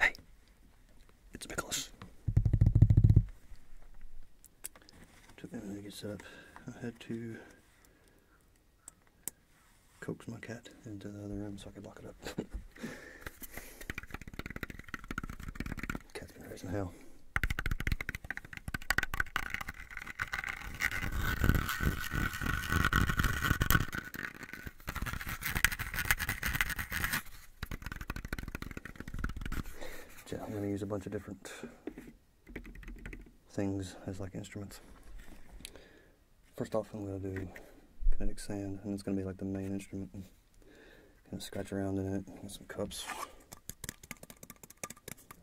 Hey, it's Nicholas. Took a minute to get set up. I had to coax my cat into the other room so I could lock it up. Catherine I'm going to use a bunch of different things as like instruments. First off, I'm going to do kinetic sand, and it's going to be like the main instrument. Kind of scratch around in it with some cups.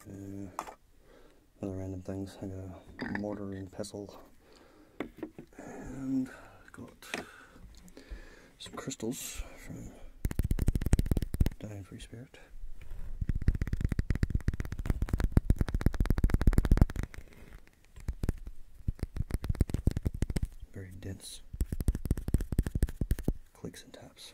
Uh, other random things. I got a mortar and pestle. And got some crystals from Dying Free Spirit. Very dense clicks and taps.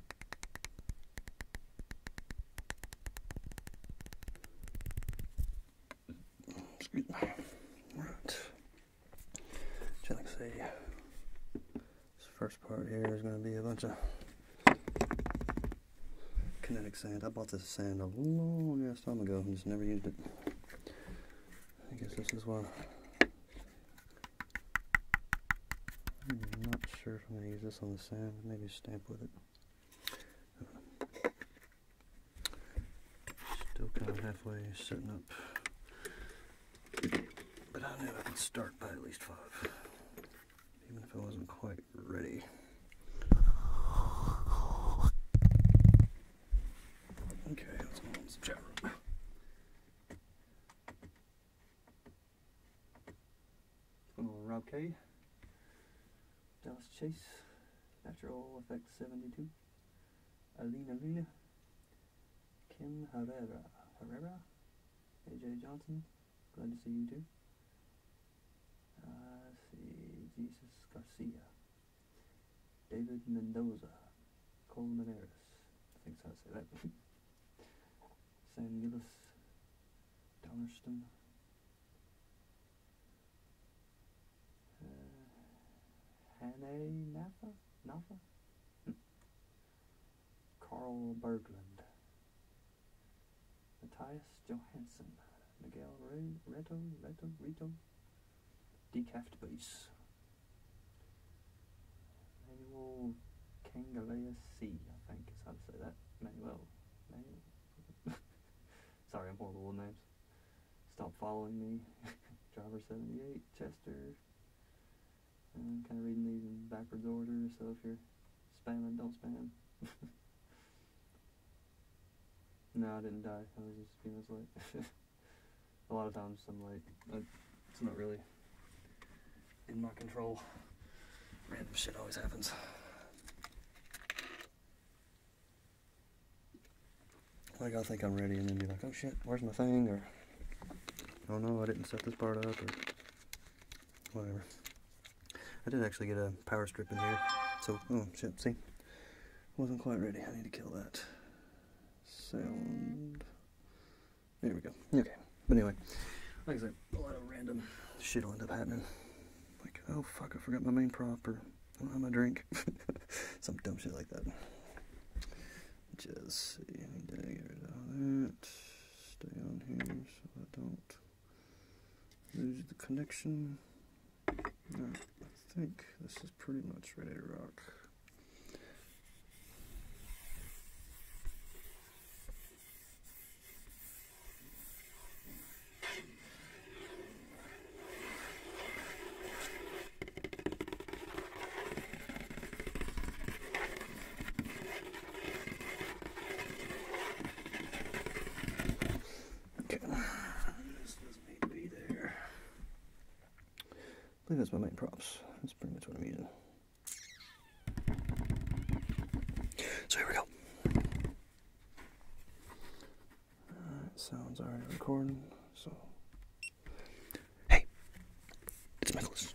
Excuse me. Right. So like this first part here is going to be a bunch of kinetic sand. I bought this sand a long ass time ago and just never used it. I guess this is why I'm not sure if I'm going to use this on the sand, maybe stamp with it. Still kind of halfway setting up, but I knew I could start by at least five, even if I wasn't quite ready. Okay, let's go Phenomenal Rob K. Dallas Chase. Natural Effect 72. Alina Luna. Kim Herrera. Herrera. AJ Johnson. Glad to see you too. Uh, see. Jesus Garcia. David Mendoza. Cole Manaris. I think I say that. St. Giles, Dungerston. Uh, Hannay Napa? Hmm. Carl Berglund. Matthias Johansson. Miguel Re Reto, Reto, Rito. Decaft Bass. Manuel Kangalea C, I think is how to say that. Manuel. Manuel. Sorry, I'm horrible with names. Stop following me. Driver 78, Chester. I'm kind of reading these in backwards order, so if you're spamming, don't spam. no, I didn't die. I was just being as light. a lot of times I'm late. Uh, it's not really in my control. Random shit always happens. Like I think I'm ready and then be like, oh shit, where's my thing? Or oh no, I didn't set this part up or whatever. I did actually get a power strip in here. So, oh shit, see? Wasn't quite ready. I need to kill that sound. There we go. Okay. But anyway, like I said, a lot of random shit will end up happening. Like, oh fuck, I forgot my main prop, or I don't have my drink. Some dumb shit like that. Just see, if I can to get rid of that. Stay on here so I don't lose the connection. I think this is pretty much ready to rock. Okay. This doesn't need to be there. I believe that's my main props. That's pretty much what I'm using. So here we go. sounds already recording, so. Hey, it's Nicholas.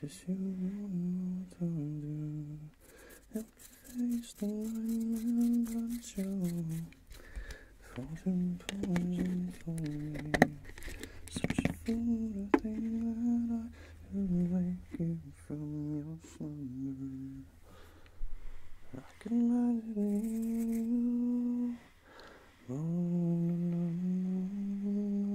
Just you one more time, do. Help face the light and show. for me. Such a fool to that I could wake you from your slumber. I can imagine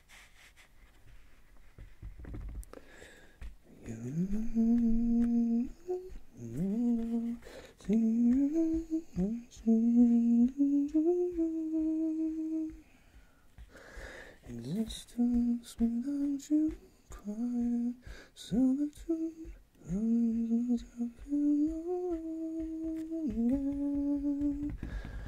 You will see Existence without you quiet solitude runs out of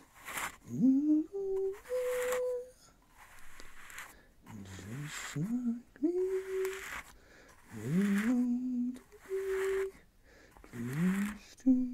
Just like me, we long to be close to you.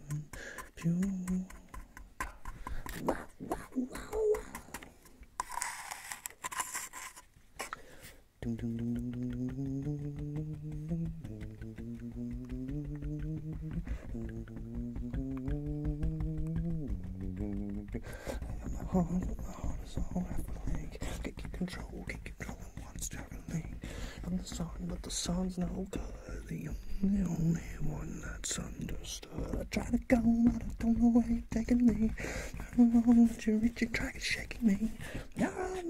pew. My heart, my heart is all I think. Can't keep control, can't keep control woman wants to relate. I'm the sun, but the sun's no good. The only, one that's understood. I try to go, but I don't know why you're taking me. I don't know that you reach reaching, trying to shake me. I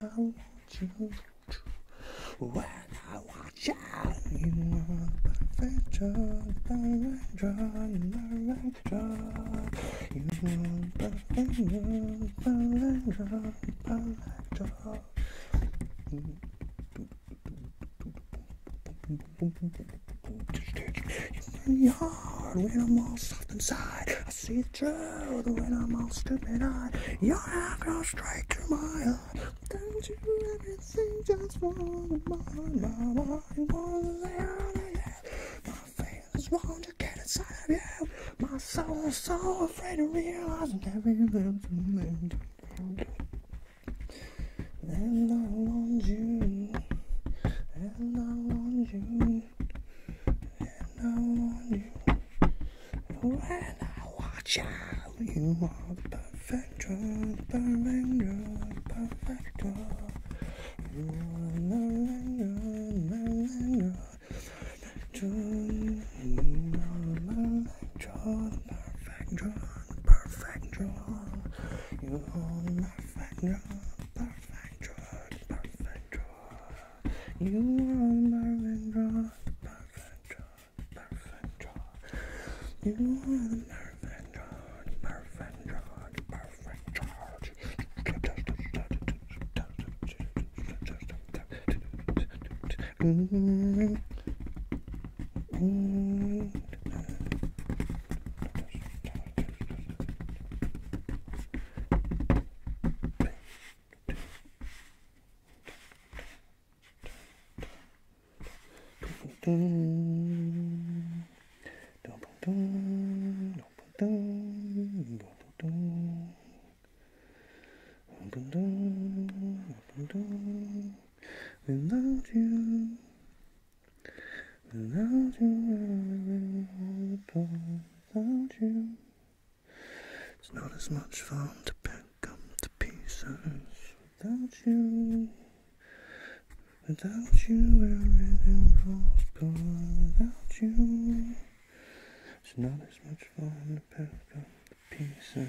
want you. When I watch out, you are perfection, perfection, perfection. You are perfection, perfection, perfection. In the yard, when I'm all soft inside, I see the truth when I'm all stupid. I, your eye goes straight to my now. Don't you ever think just for the moment, mama? You wanna lay on it, yeah. My feelings want to get inside of you. My soul is so afraid to realize never you lived to me. And I want you. And I want you. And I want you. When I watch out, you are the perfect one, perfect one, perfect one. You are the one, perfect one, you are the perfect one, perfect one, perfect one. You are the perfect one, perfect one, perfect one. You are the perfect one, perfect one. Marvin You are the Marvin George, Marvin George, Marvin George. Mm -hmm. Thank Without you, without you, without you, it's not as much fun to pick come to pieces without you. Without you, everything falls apart. Without you, it's not as much fun to pick up the pieces.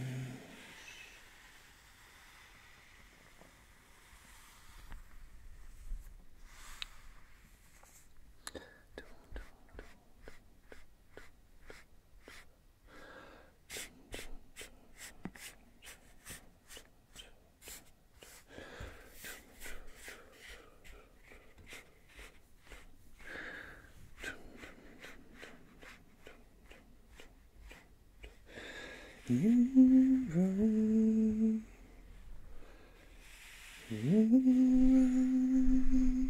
You rise, you rise,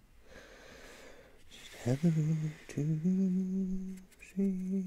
Just hello to see.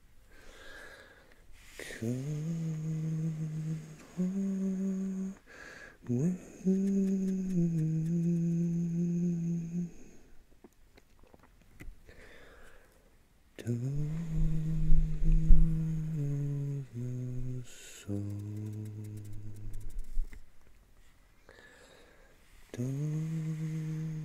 Come on, when dawn of your soul, dawn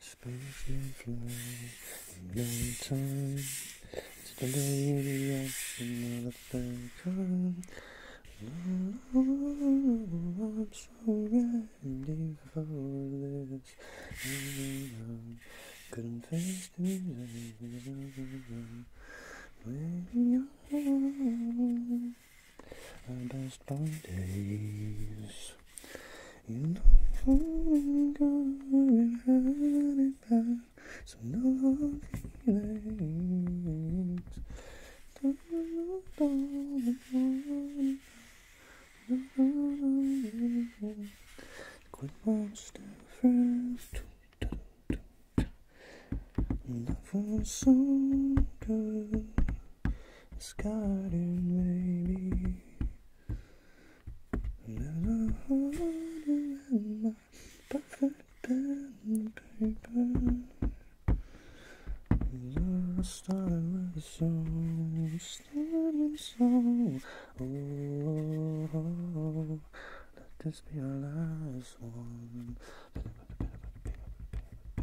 Space fly no time. It's the lady of motherfucker. Oh, I'm so ready for this. I couldn't face the music. When you're just like days. You know I'm going hiding back, so no hard feelings. Don't know the one. Quit monster first. Love so good this garden, baby. Never you in my perfect pen and paper. Love started with a song, started with a oh, let this be our last one.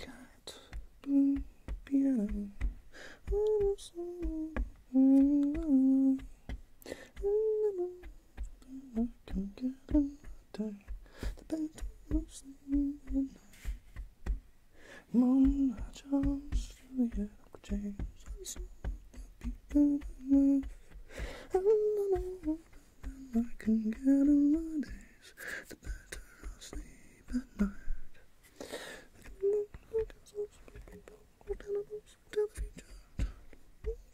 Got blue piano. I can get another. The bed moves in the night. Mom, I just feel the Uncle James. I'm so happy, good enough. I don't know than I can get in my the better I'll sleep at night.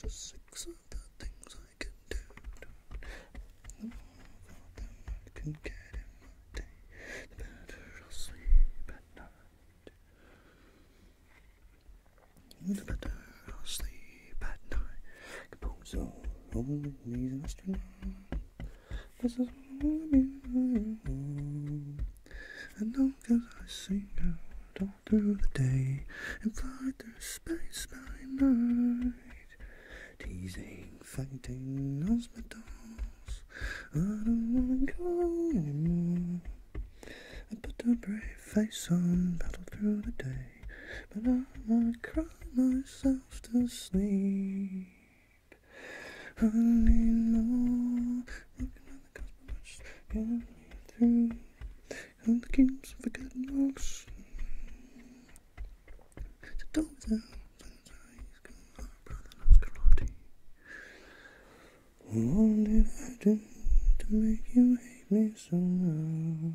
Just six of the things I can do. The more of I can get in my day, the better I'll sleep at night. The better I'll sleep but no. Composer, only needs an astronaut. This is all I need. And all I sing out all through the day and fly through space by night. Teasing, fighting, hospitals. I don't wanna go anymore. I put a brave face on, battle through the day but I might cry myself to sleep. I need more. Looking at the gospel which through. And the keeps of the good So don't tell. What did I do to make you hate me so much?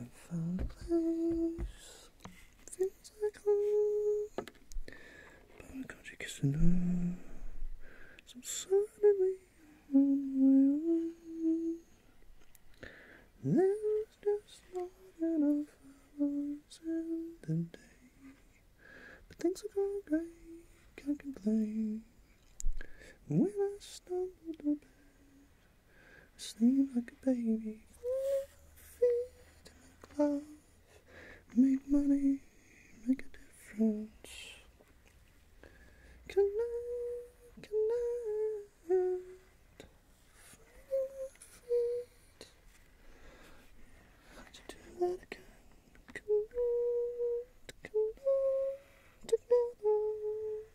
I found a place, feels like home. But God, you kissing her. Some suddenly on my own. There's just not enough hours in the day. But things are going great, can't complain. When I stumble to bed, sleep like a baby. Feet make love, make money, make a difference. Can I, Feet. how do that again? Connect, connect together.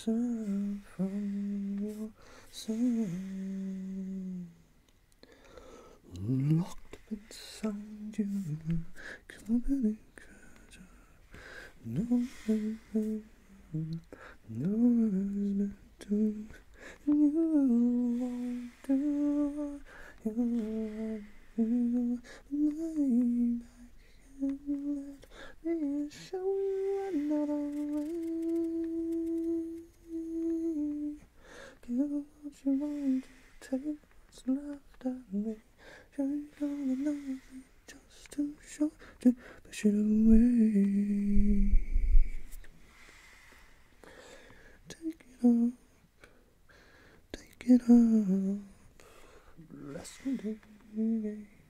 sun from your sun. Locked up inside you, coming no one no one is to you want to you want to lay back let me show you another way. Give what you want take what's left of me. Drink all the night just too short to push it away. Take it up, take it up, bless me.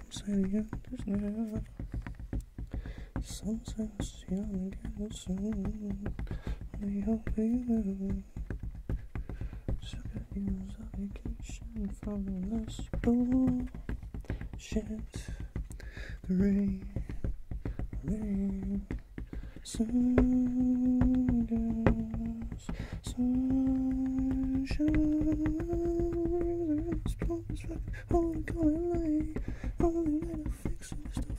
Some say the others never. Some say it's young and soon. I hope you will. So I use a vacation from the last bullshit. The rain, rain, sungas, sunshine. Holy calling light, holy light, I'm fixing this.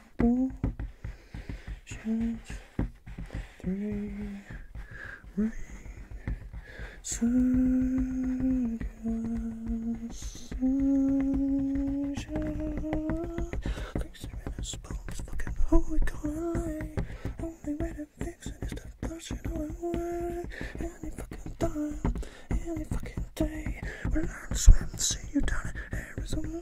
Ooh. Chance. Three. Rain. Circus. Sunshine. Fix it in a spoon's fucking Only way to fix it is to push it all away. Any fucking time. Any fucking day. We're not swim. See you Arizona.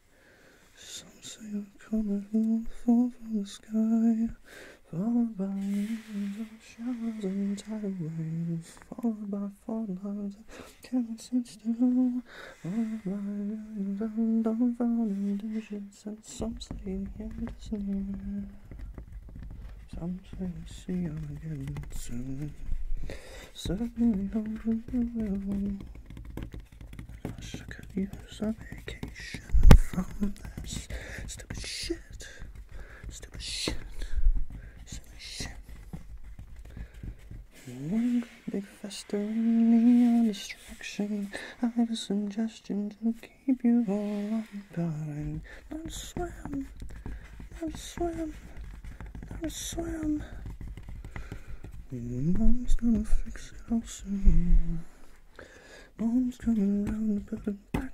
Some say a comet will fall from the sky, followed by millions of showers and tidal waves, followed by floodlights that cannot sit still, followed by millions of dumbfounded digits, and some say the end is near. Some say see you again soon. Certainly hoping you will. Let's look at vacation from this stupid shit. Stupid shit. Stupid shit. One big festering neon distraction. I have a to keep you all undying. Not swim. Not swim. Not swim. Mom's gonna fix it all soon. Mom's coming round the building back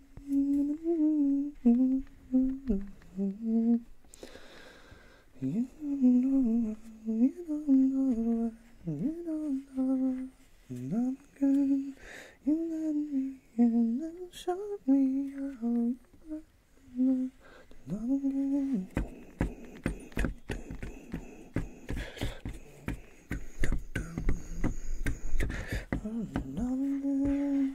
You don't know, you don't know, you don't know, and I'm good. You let me in and show me how you love, and I'm good. And I'm good.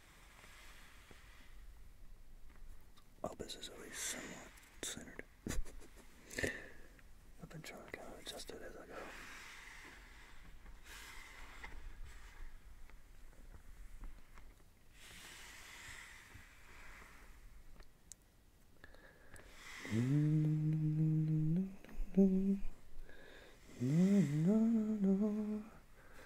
All this is at least somewhat centered. I've been trying to kind of adjust it as I go. Mm-hmm.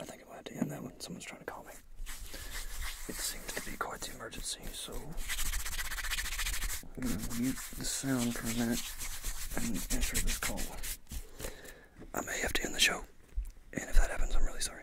I think I might have to end that one. Someone's trying to call me. It seems to be quite the emergency, so I'm going to mute the sound for a minute and answer this call. I may have to end the show, and if that happens, I'm really sorry.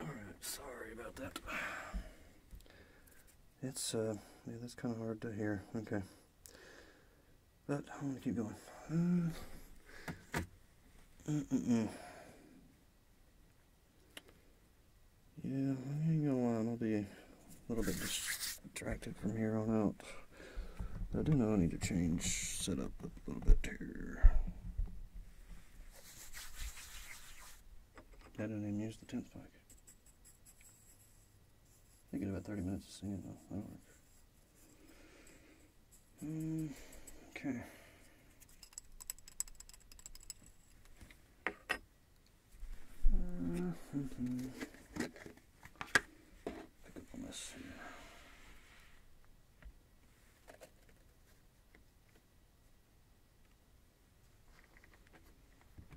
Alright, sorry about that. It's, uh, that's kind of hard to hear. Okay. But I'm going to keep going. Yeah, I am gonna lie, I'll be a little bit distracted from here on out. I do know I need to change setup a little bit here. I didn't even use the 10th pike. I think in about 30 minutes of singing, though. That'll work. Mm, okay. Mm -hmm. Pick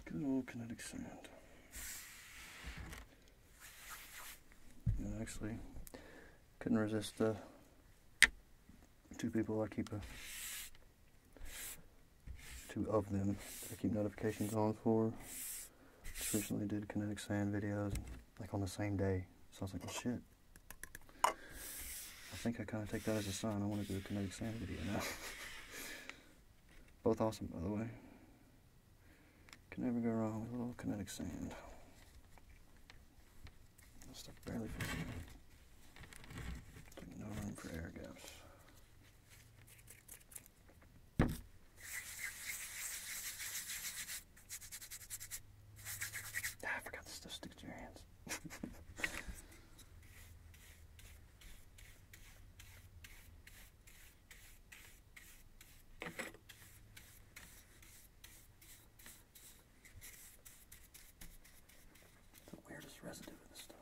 Good old kinetic sand. actually, couldn't resist the two people I keep uh, two of them I keep notifications on for. recently did kinetic sand videos like on the same day. So I was like, shit. I think I kind of take that as a sign I want to do a kinetic sand video now. Both awesome, by the way. Can never go wrong with a little kinetic sand. That stuff barely fits No room for air gaps. Ah, I forgot this stuff sticks to your hands the weirdest residue in this stuff.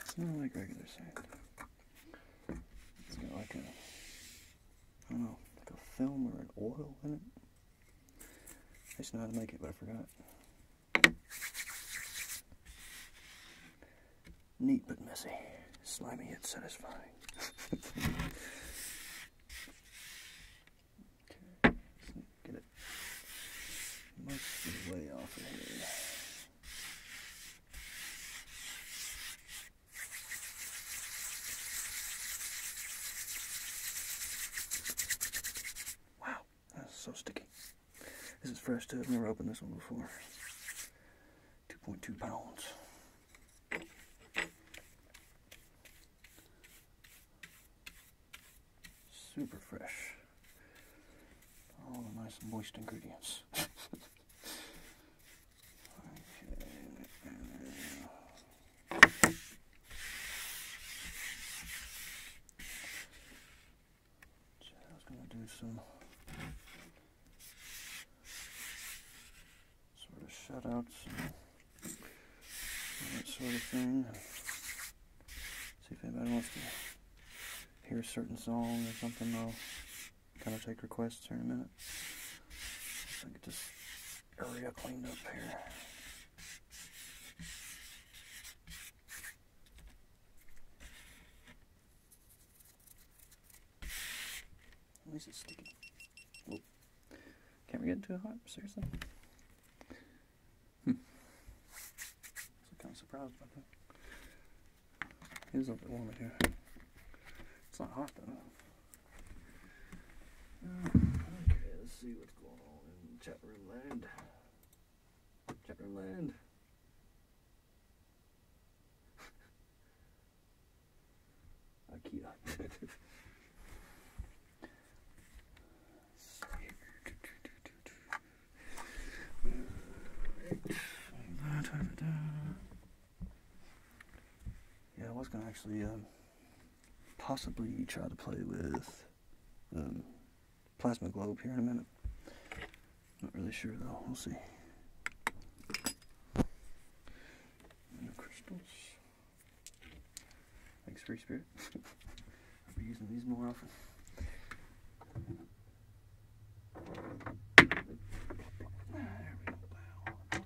It's not like regular sand. It's got like a I don't know, like a film or an oil in it. I just know how to make it, but I forgot. Neat but messy. Slimy yet satisfying. okay, get it most way off of here. Wow, that's so sticky. This is fresh too. I've never opened this one before. 2.2 pounds. Super fresh. All the nice moist ingredients. I was gonna do some sort of shutouts and that sort of thing. See if anybody wants to hear a certain song or something. Gotta take requests here in a minute. I get this area cleaned up here. At least it's sticky. Can't we get too hot? Seriously? I'm hmm. kind of surprised by that. It is a little bit warmer here. It's not hot though. Okay, let's see what's going on in chat room land. Chat room land. IKEA. Yeah, I was gonna actually um, possibly try to play with um, plasma globe here in a minute. Not really sure though. We'll see. No crystals. Thanks, Free Spirit. I'll be using these more often. Ah, there we go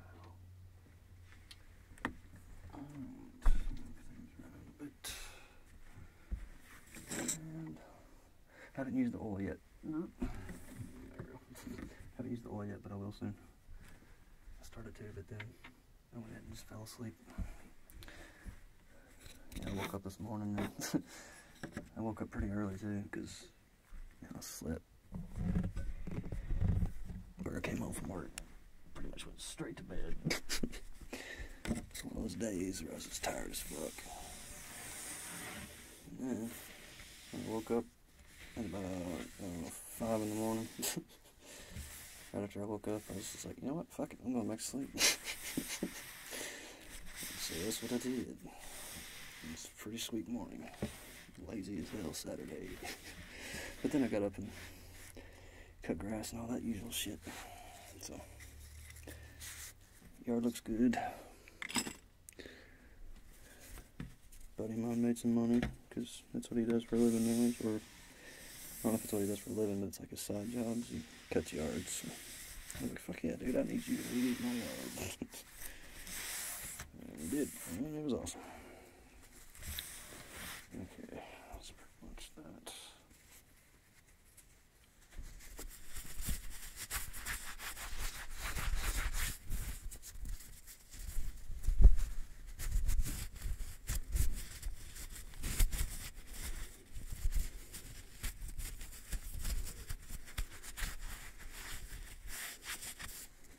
haven't used the oil yet. No. haven't used the oil yet, but I will soon. I started to, but then I went ahead and just fell asleep. I woke up this morning. I woke up pretty early too, because i slipped. slip. I came home from work. Pretty much went straight to bed. it's one of those days where I was just tired as fuck. Yeah. I woke up at about five in the morning. right after I woke up, I was just like, you know what? Fuck it. I'm going back to sleep. so that's what I did pretty sweet morning. Lazy as hell Saturday. but then I got up and cut grass and all that usual shit. So, yard looks good. Buddy man made some money because that's what he does for a living now. Or, I don't know if it's what he does for a living, it's like a side job. He cuts yards. fuck yeah, dude, I need you And it did. it was awesome. Okay, that's pretty much that.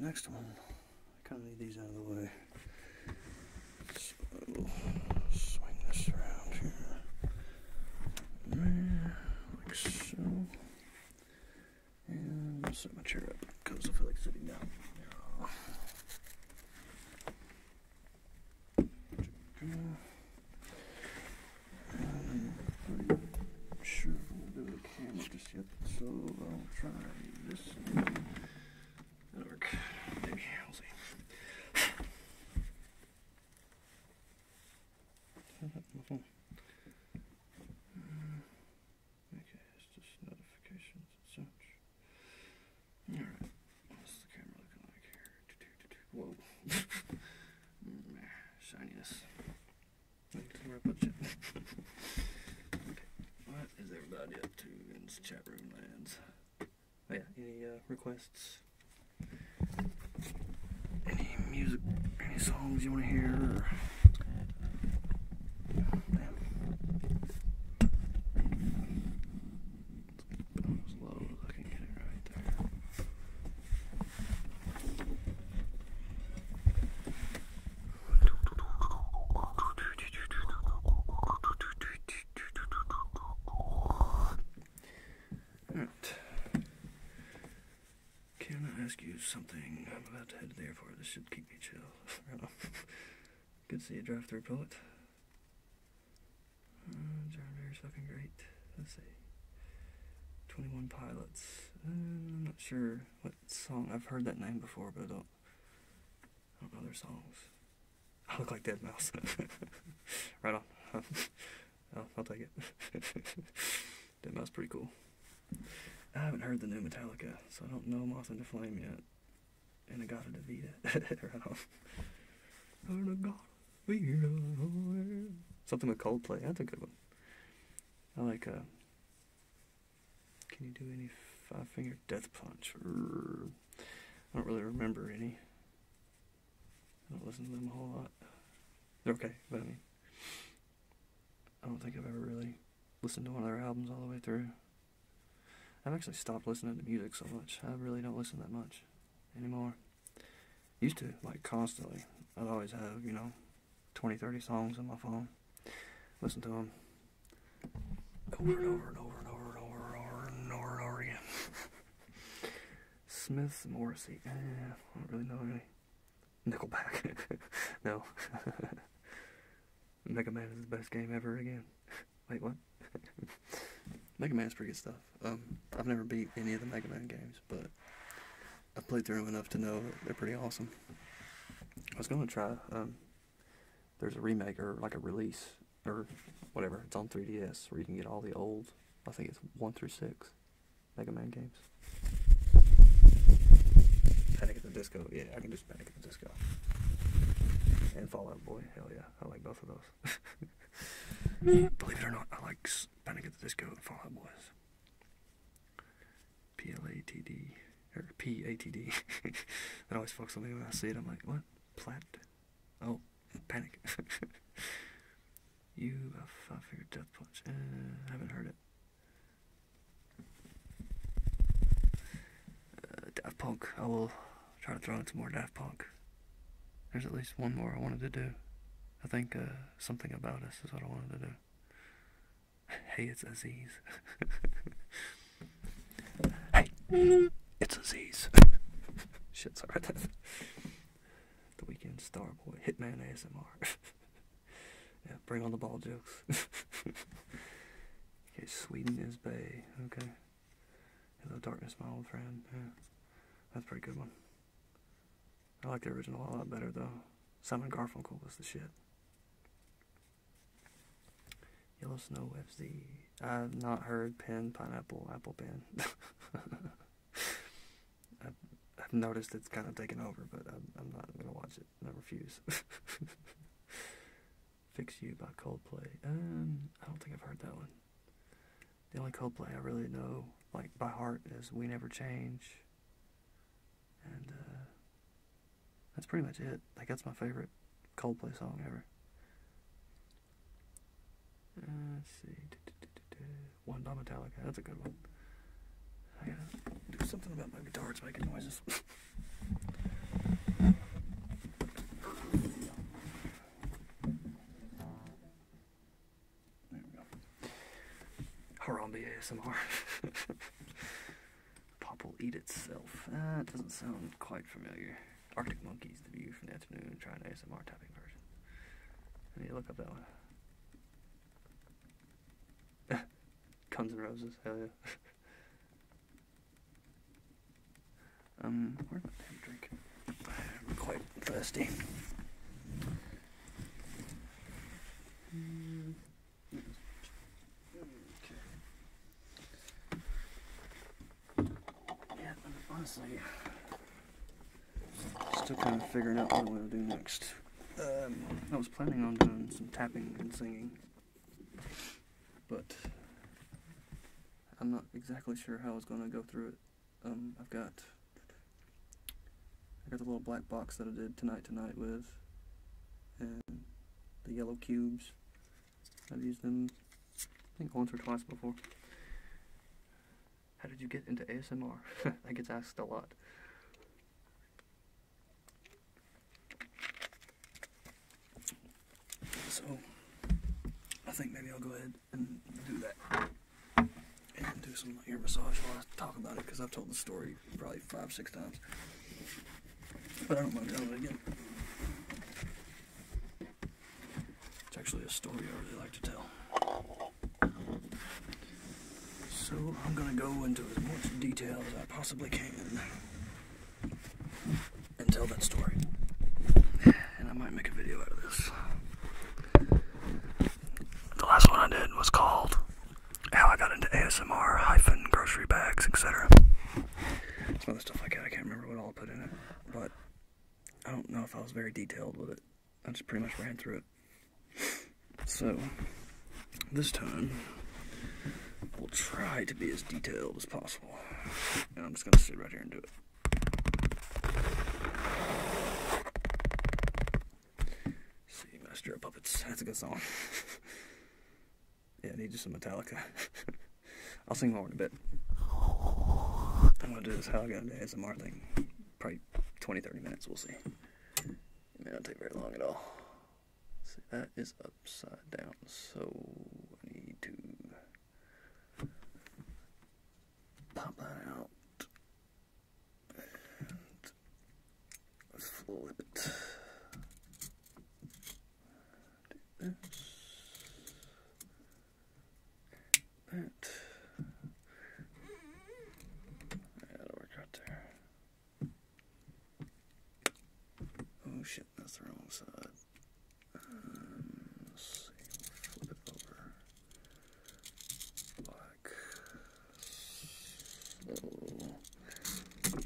next one, I kind of need these out of the way. So I swing this around here, there, so, and set my chair up because I feel like sitting down. I'm sure I'm gonna do the camera just yet, so I'll try this. that work. Maybe we'll see. My phone. Okay, it's just notifications and such. Alright. Whoa. Mm, ah, Shininess. What is everybody up to in chat room lands? Oh yeah, any uh, requests? Any music, any songs you want to hear? can I ask you something? I'm about to head to the airport. This should keep me chill. Good to see you drive through, uh, John Mayer is fucking great. Let's see. 21 Pilots. Uh, I'm not sure what song. I've heard that name before, but I don't, know their songs. I look like Dead Mouse. right on. I'll, take it. Dead Mouse pretty cool. I haven't heard the new Metallica, so I don't know Moth in the Flame yet. And I got a Davita. right on. And I got Something with Coldplay. That's a good one. I like uh Can you do any five finger death punch? I don't really remember any. I don't listen to them a whole lot. okay, but I mean I don't think I've ever really listened to one of their albums all the way through. I've actually stopped listening to music so much. I really don't listen that much anymore. Used to, like, constantly. I'd always have, you know, 20, 30 songs on my phone. Listen to them over and over and over and over and over and over and over and over again. Smiths, Morrissey. Eh, I don't really know any. Nickelback. no. Mega Man is the best game ever again. Wait, what? fun. Mega Man's pretty good stuff. Um, I've never beat any of the Mega Man games, but I've played through them enough to know that they're pretty awesome. I was gonna try. Um, there's a remake or like a release or whatever. It's on 3DS where you can get all the old. I think it's one through six Mega Man games. Panic at the Disco. Yeah, I can just Panic the Disco. And Fallout Boy. Hell yeah, I like both of those. Believe it or not, I like Panic at the Disco and Fall Out Boys. P L A T D or P A T D. that always fucks with me when I see it. I'm like, what? Plat? Oh, Panic. you a uh, five-finger death punch? Uh, I haven't heard it. Death uh, Daft Punk. I will try to throw in some more Daft Punk. There's at least one more I wanted to do. I think uh, something about us is what I wanted to do. hey, it's Aziz. hey, it's Aziz. Shit's all right. The Weekend Star Boy, Hitman ASMR. yeah, bring on the ball jokes. okay, Sweden is Bay. Okay. Hello Darkness, my old friend. Yeah, that's a pretty good one. I like the original a lot better though. Simon Garfunkel was the shit. Yellow Snow FZ. I've not heard Pen Pineapple Apple Pen. I've, noticed it's kind of taken over, but I'm, I'm not gonna watch it. I refuse. Fix You by Coldplay. Um, I don't think I've heard that one. The only Coldplay I really know, like by heart, is "We Never Change," and uh, that's pretty much it. Like that's my favorite Coldplay song ever. Uh, let's see, one by Metallica. That's a good one. I gotta do something about my guitar. It's making noises. There we go. ASMR. Pop will eat itself. That uh, doesn't sound quite familiar. Arctic Monkeys, The View from the Afternoon, try ASMR tapping version. I need to look up that one. Guns and Roses, hell yeah. Um, where am I have am quite thirsty. Mm. Okay. Yeah, honestly, still kind of figuring out what I'm going to do next. Um, I was planning on doing some tapping and singing, but I'm not exactly sure how I was going to go through it um, I've got I got the little black box that I did tonight tonight with, and the yellow cubes. I've used them, I think once or twice before. How did you get into ASMR? I get asked a lot. So, I think maybe I'll go ahead and, do that. And do some ear massage while I talk about it because I've told the story probably five, six times. But I don't want to telling it again. It's actually a story I really like to tell. So I'm going to go into as much detail as I possibly can and tell that story. And I might make a video out of this. The last one I did was called How I Got Into ASMR hyphen grocery bags, etc. Some other stuff like that. I can't remember what all I put in it, but I don't know if I was very detailed with it. I just pretty much ran through it. So, this time, we'll try to be as detailed as possible. And I'm just going to sit right here and do it. See, Master of Puppets. That's a good song. yeah, I need you some Metallica. I'll sing more in a bit. I'm gonna do this how I got into ASMR thing. Probably 20, 30 minutes, we'll see. It may not take very long at all. See, that is upside down, so I need to Pop that out. And flip Do this. That. Yeah, that'll work out there. Oh shit, that's the wrong side. Um, let's see, flip it over like so. There we go.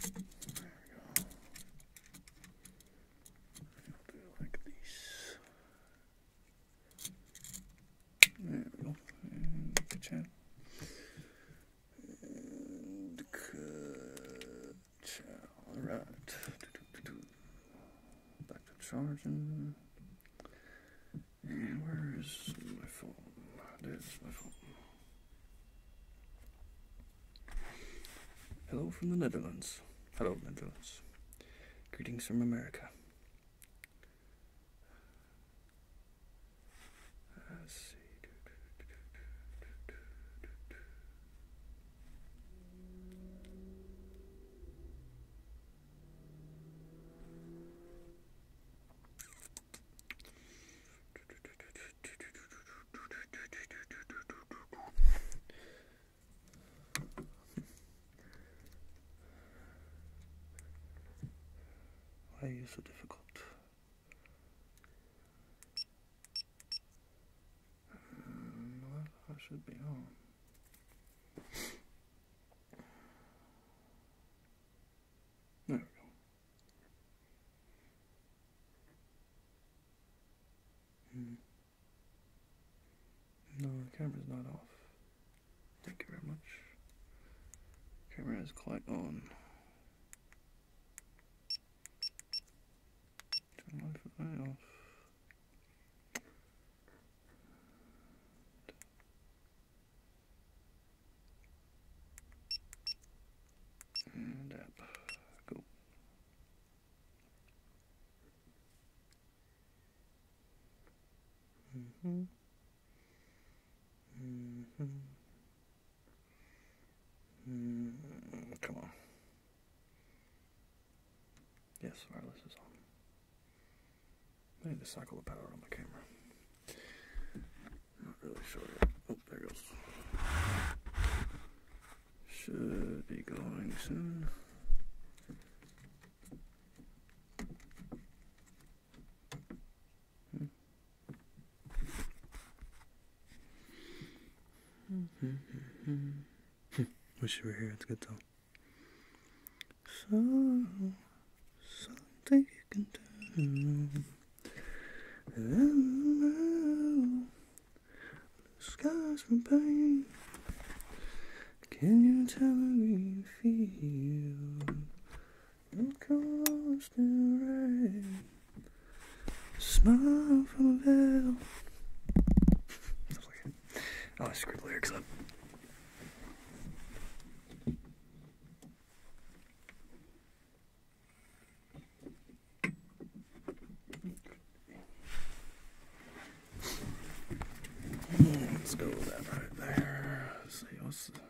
do it like this. There we go. And the Alright back to charging. And where is my phone? Ah, There's my phone. Hello from the Netherlands. Hello, Netherlands. Greetings from America. Ah, why are you so difficult? Mm, I should be home. There we go. Hmm. No, the camera is not off. Thank you very much. Camera is quite on. Turn off. And up. Go. Mm-hmm. Mm-hmm. Mm hmm hmm come on. Yes, wireless is on. I need to cycle the power on the camera. Not really sure Oh, there goes. Should be going soon. Hmm. Wish you were here, it's good though. So, something you can do. Hello, the from pain. Can you tell me how you feel? It comes to rain. Smile from a veil. Oh, I screwed lyrics up. Let's go with that right there. Let's see what's the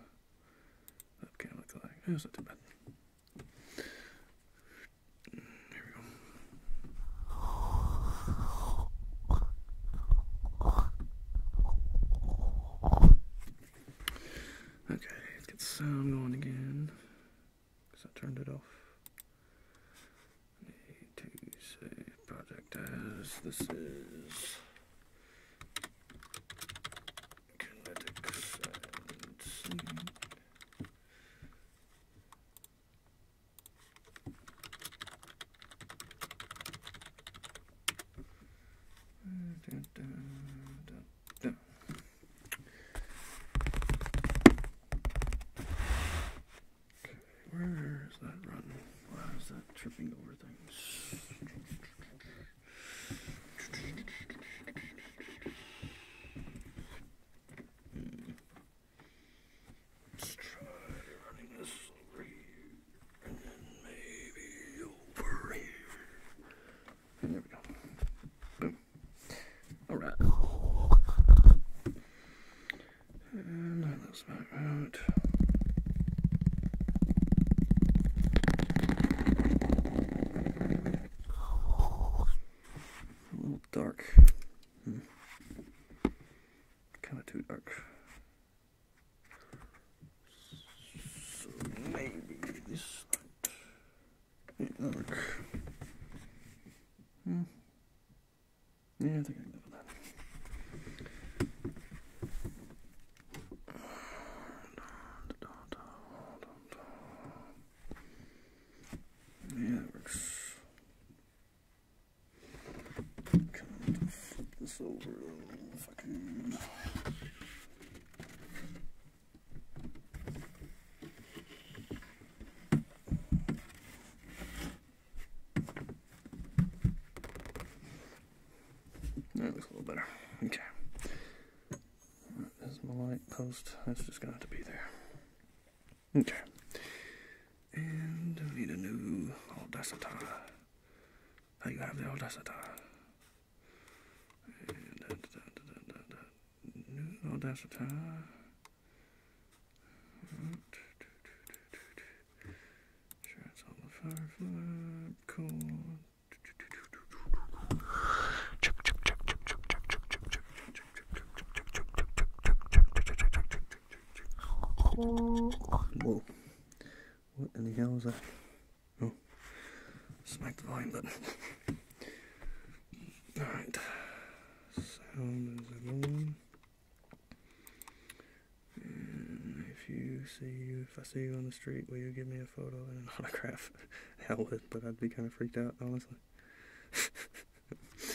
webcam look like. Oh, it's not too bad. Here we go. Okay, let's get sound going again. Because I turned it off. save project as this is. Kinetic and scene. Where is that run? Why is that tripping over things? Mm. Let's try running this over here, and then maybe over here. And there we go. Boom. Alright. And that's looks about right. A little dark. Hmm. Kind of too dark. So maybe this might yeah, work. Hmm. Yeah, I think I can live with that. Yeah, that works. Can flip this over if I can. That looks a little better. Okay. That is my light post. That's just gonna have to be there. Okay. And we need a new Audacity. There you have the old And, new Audacity. Right. Sure, it's on the Firefly. Cool. Whoa. What in the hell was that? Oh, smack the volume button. Alright, sound is on. And if you see if I see you on the street, will you give me a photo and an autograph? I would, but I'd be kind of freaked out, honestly.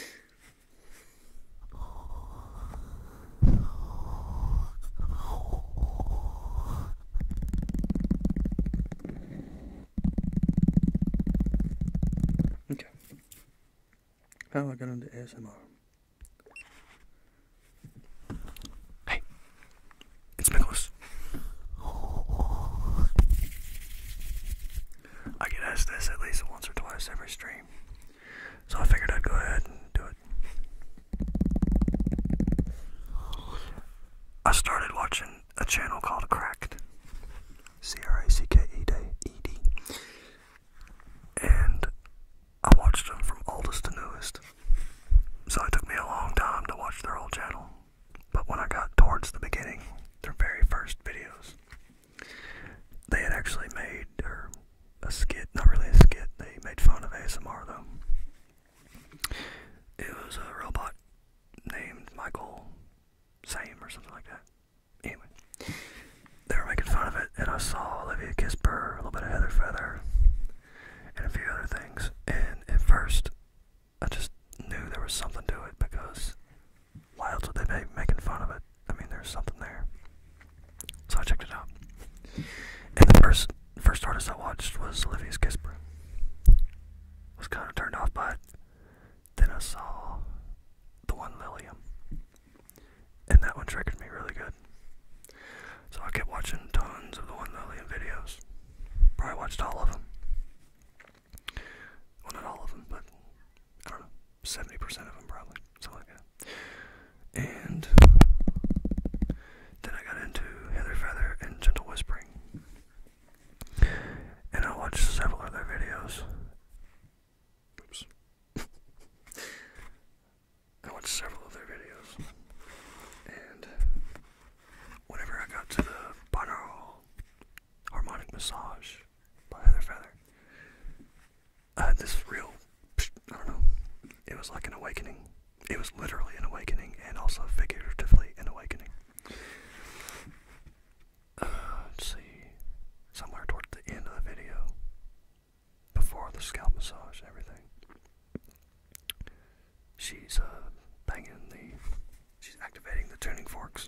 Okay. How I got into ASMR. Hey, it's Nicholas. I get asked this at least once or twice every stream. So I figured I'd go ahead and do it. I started watching a channel called Cracked. C R A C K E D E D. And I watched them from oldest to newest. So it took me a long time to watch their whole channel. But when I got towards the beginning, their very first videos, they had actually made, a skit, not really a skit, they made fun of ASMR though. It was a robot named Michael Same or something like that. Anyway, they were making fun of it, and I saw Olivia Kisper, a little bit of Heather Feather, and a few other things. And at first, I just knew there was something to it because why else would they be making fun of it? I mean, there's something there. So I checked it out. And the first first artist I watched was Olivia's Kisper. Was kind of turned off but Then I saw the one Lilium, and that one triggered me really good. So I kept watching tons of the one Lilium videos. Probably watched all of them. Well, not all of them, but I don't know, seventy percent of them probably something like that. And then I got into Heather Feather and Gentle Whispering. And I watched several other videos. Oops. I watched several of videos. And whenever I got to the binaural harmonic massage by Heather Feather, uh, this real, I don't know, it was like an awakening. It was literally an awakening and also figuratively an awakening. Uh, let's see, somewhere toward the end of the video, before the scalp massage and everything, she's uh, banging the, she's activating the tuning forks,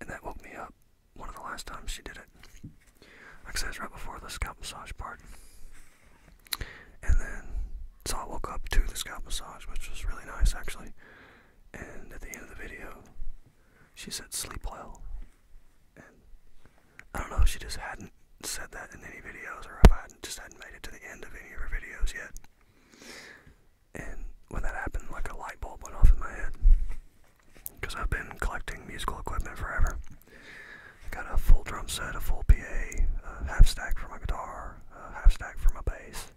and that woke me up one of the last times she did it like I said, it's right before the scalp massage part. And then, so I woke up to the scalp massage, which was really nice actually. And at the end of the video, she said, sleep well. And I don't know if she just hadn't said that in any videos or if I hadn't, just hadn't made it to the end of any of her videos yet. And when that happened, like a light bulb went off in my head. Because I've been collecting musical equipment forever. I got a full drum set, a full PA, half stack for my guitar, half stack for my bass.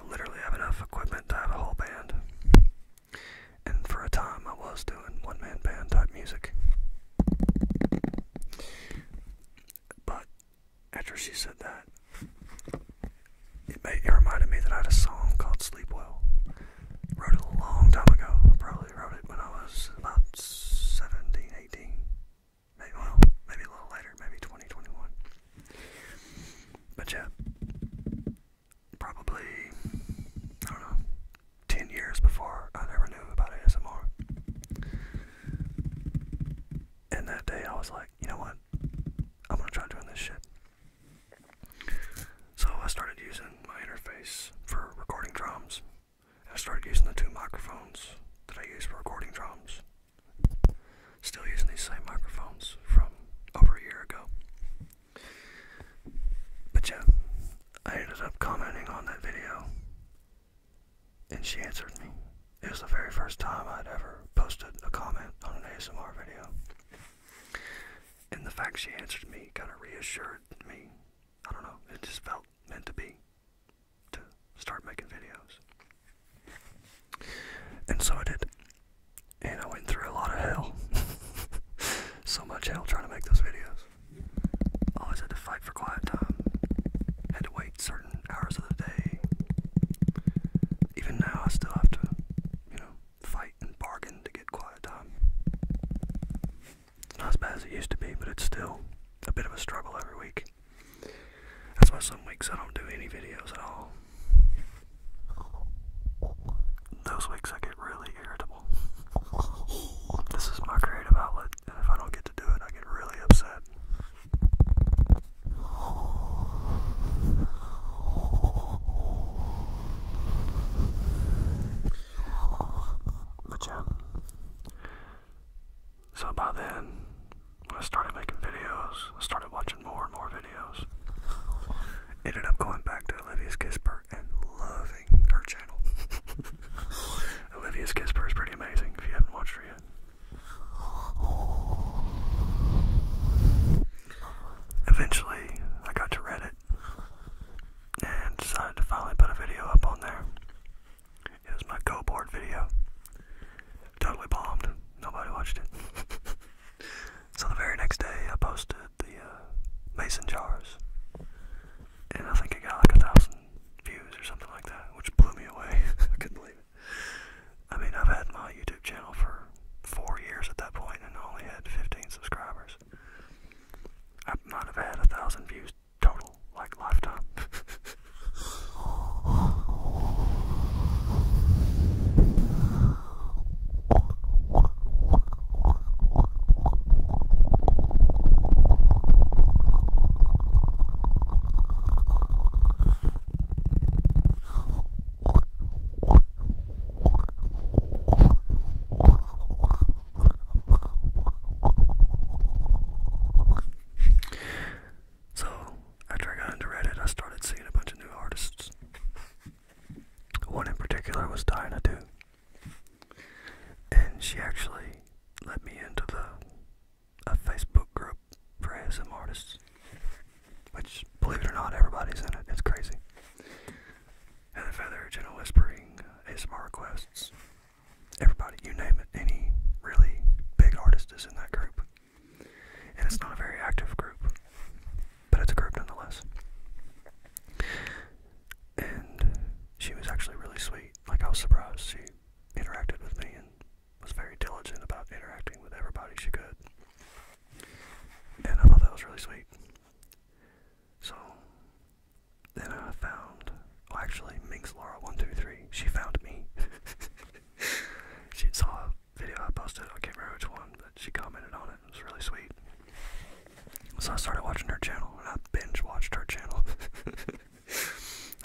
I literally have enough equipment to have a whole band. And for a time, I was doing one man band type music. But after she said that, it reminded me that I had a song called Sleep Well. Wrote it a long time ago. I probably wrote it when I was about 17, 18. Maybe, well, maybe a little later, maybe 2021. 20, but yeah, probably, I don't know, 10 years before I ever knew about ASMR. And that day I was like, you know what? I'm gonna try doing this shit. So I started using my interface for recording drums I started using the two microphones that I use for recording drums. Still using these same microphones from over a year ago. But yeah, I ended up commenting on that video and she answered me. It was the very first time I'd ever posted a comment on an ASMR video. And the fact she answered me kind of reassured me I don't know, it just felt meant to be to start making videos. And so I did. And I went through a lot of hell. so much hell trying to make those videos. Always had to fight for quiet time. Had to wait certain hours of the day. Even now I still have to, you know, fight and bargain to get quiet time. It's not as bad as it used to be, but it's still a bit of a struggle every week. That's why some weeks I don't do any videos at all. Those weeks I get really irritable. This is my creative outlet, and if I don't get to do it, I get really upset. But yeah. So by then, I started making videos. I started watching more and more videos. Ended up going back to Olivia's Kisper and loving her channel. Olivia's Kisper is pretty amazing if you haven't watched her yet. Eventually, I got to Reddit and decided to finally put a video up on there. It was my go board video. Totally bombed. Nobody watched it. so the very next day, I posted the uh, mason jars, and I think it got like a thousand views or something like that, which blew me away. I couldn't believe it. I mean, I've had my YouTube channel for four years at that point, and only had 15 subscribers. I might have had a thousand views just total like lifetime. So, after I got into Reddit, I started seeing a bunch of new artists. One in particular was Diana, too. And she actually let me into the a Facebook group for ASM artists. Which, believe it or not, everybody's in it. It's crazy. And the Feather Gentle Whispering ASMR requests everybody, you name it, any really big artist is in that group. And it's not a very active group, but it's a group nonetheless. And she was actually really sweet. Like, I was surprised. She interacted with me and was very diligent about interacting with everybody she could. And I thought that was really sweet. So, then I found, oh actually, Minx Laura one two three. She found me. she saw a video I posted. I can't remember which one, but she commented on it. It was really sweet. So I started watching her channel, and I binge watched her channel.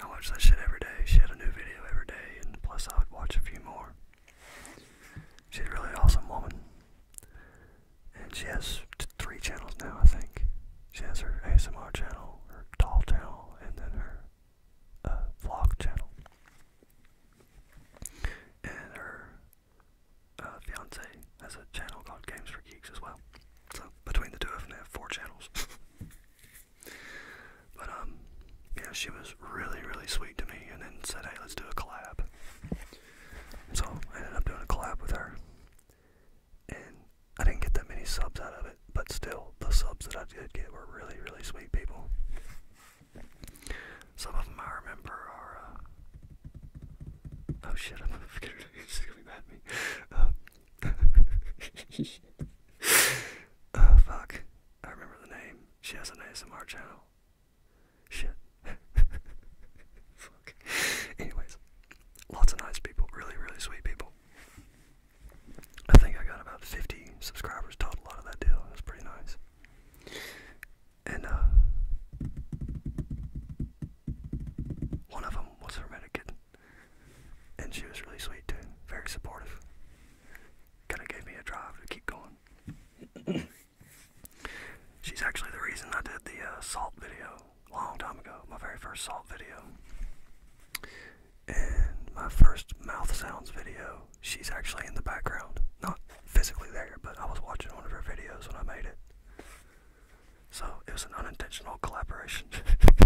I watched that shit every day. She had a new video every day, and plus I would watch a few more. She's a really awesome woman. And she has three channels now, I think. She has her ASMR channel, her doll channel, and then her uh, vlog channel. And her uh, fiance has a channel called Games for Geeks as well. So between the two of them, they have four channels. but um, yeah, she was really, really sweet to me, and then said, "Hey, let's do a collab." So I ended up doing a collab with her, and I didn't get that many subs out of it, but still, the subs that I did get were really, really sweet people. Some of them I remember are. Uh, oh shit, I'm gonna forget it. He's gonna be mad me. oh fuck. I remember the name. She has an ASMR channel. Shit. Anyways, lots of nice people, really, really sweet people. I think I got about 50 subscribers total out of that deal. It was pretty nice. And uh, one of them was hermetic kitten, and she was really sweet too, very supportive. Kind of gave me a drive to keep going. She's actually the reason I did the uh, salt video long time ago, my very first salt video. And my first mouth sounds video, she's actually in the background. Not physically there, but I was watching one of her videos when I made it. So it was an unintentional collaboration.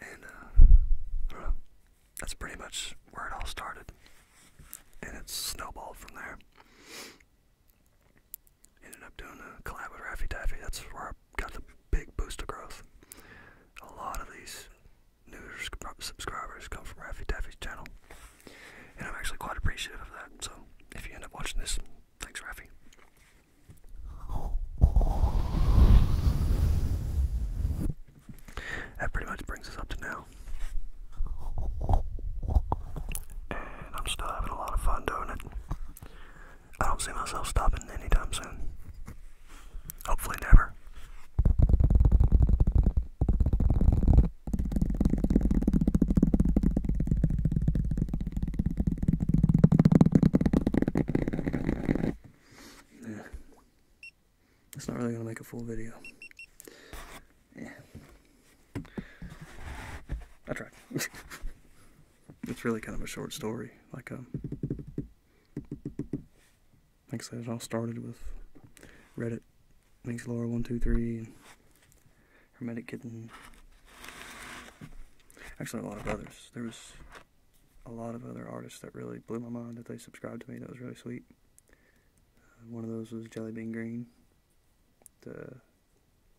and uh, That's pretty much where it all started. And it's snowballed from there. Ended up doing a collab with Raffy Taffy. That's where I got the big boost of growth. A lot of these new subscribers come from Raffy Taffy's channel. And I'm actually quite appreciative of that. So if you end up watching this, thanks, Raffy. That pretty much brings us up to now. And I'm still having a lot of fun doing it. I don't see myself stopping anytime soon. Hopefully, never. Yeah. It's not really going to make a full video. Yeah. I tried. it's really kind of a short story. Like um, like I said, it all started with Reddit, Minx Laura one two three, and Hermetic Kitten. Actually, a lot of others. There was a lot of other artists that really blew my mind that they subscribed to me. That was really sweet. Uh, one of those was Jelly Bean Green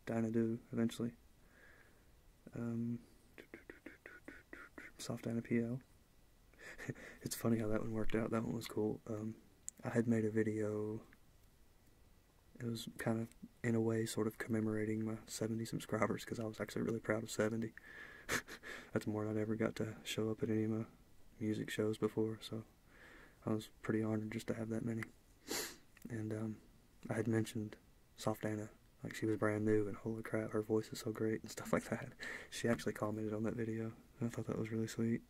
dying do eventually. Um, soft soft P L. it's funny how that one worked out. That one was cool. Um, I had made a video. It was kind of, in a way, sort of commemorating my 70 subscribers because I was actually really proud of 70. That's more than I'd ever got to show up at any of my music shows before, so I was pretty honored just to have that many. And um, I had mentioned Soft Anna. Like she was brand new and holy crap, her voice is so great and stuff like that. She actually commented on that video. I thought that was really sweet.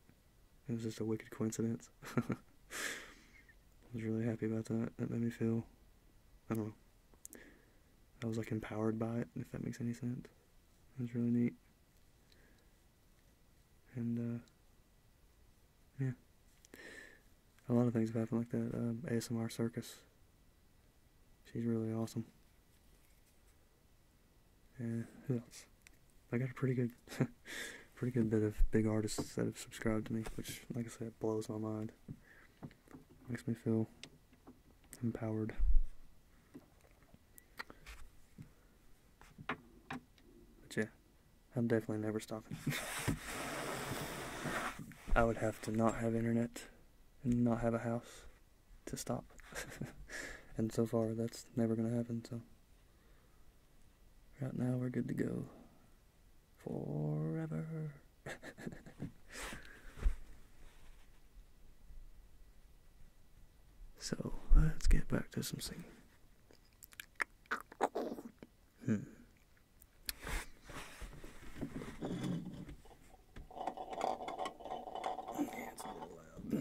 It was just a wicked coincidence. I was really happy about that. That made me feel, I don't know, I was like empowered by it, if that makes any sense. It was really neat. And, uh, yeah. A lot of things have happened like that. Um, ASMR Circus. She's really awesome. And who else? I got a pretty good, pretty good bit of big artists that have subscribed to me, which, like I said, blows my mind. Makes me feel empowered. yeah. I'm definitely never stopping. I would have to not have internet and not have a house to stop. and so far, that's never going to happen, so. Right now, we're good to go. Forever. so, let's get back to something. Hmm. Yeah, it's a little loud.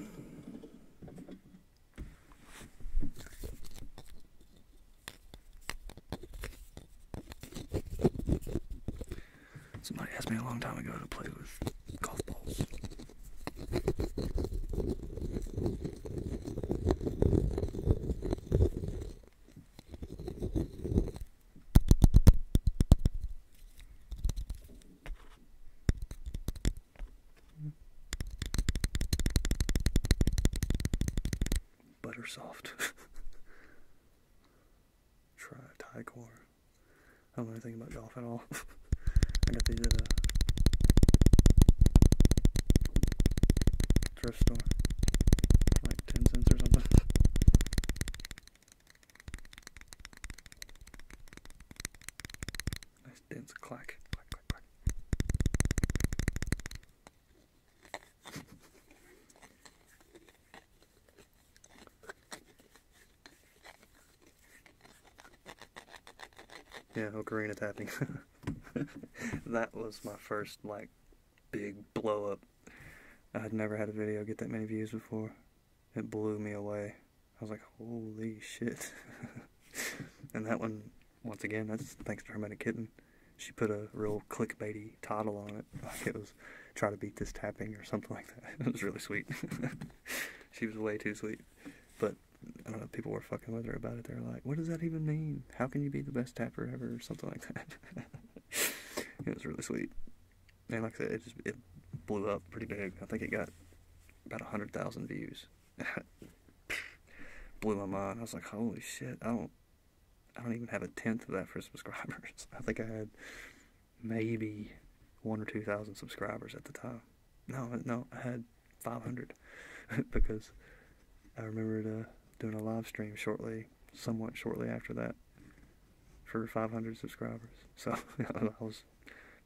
Somebody asked me a long time ago to play with golf balls. Butter soft. Try Thai core. I don't know anything about golf at all. I got these at a thrift store. Like 10 cents or something. nice dense clack. Yeah, ocarina tapping. that was my first, like, big blowup. i had never had a video get that many views before. It blew me away. I was like, holy shit. and that one, once again, that's thanks to Hermetic Kitten. She put a real clickbaity title on it. Like it was, trying to beat this tapping or something like that. It was really sweet. she was way too sweet. But, I don't know, people were fucking with her about it. They were like, what does that even mean? how can you be the best tapper ever or something like that. it was really sweet. And like I said, it just it blew up pretty big. I think it got about a hundred thousand views. blew my mind. I was like, holy shit, I don't I don't even have a tenth of that for subscribers. I think I had maybe one or two thousand subscribers at the time. No, no, I had five hundred because I remember doing a live stream shortly, somewhat shortly after that, for 500 subscribers. So I was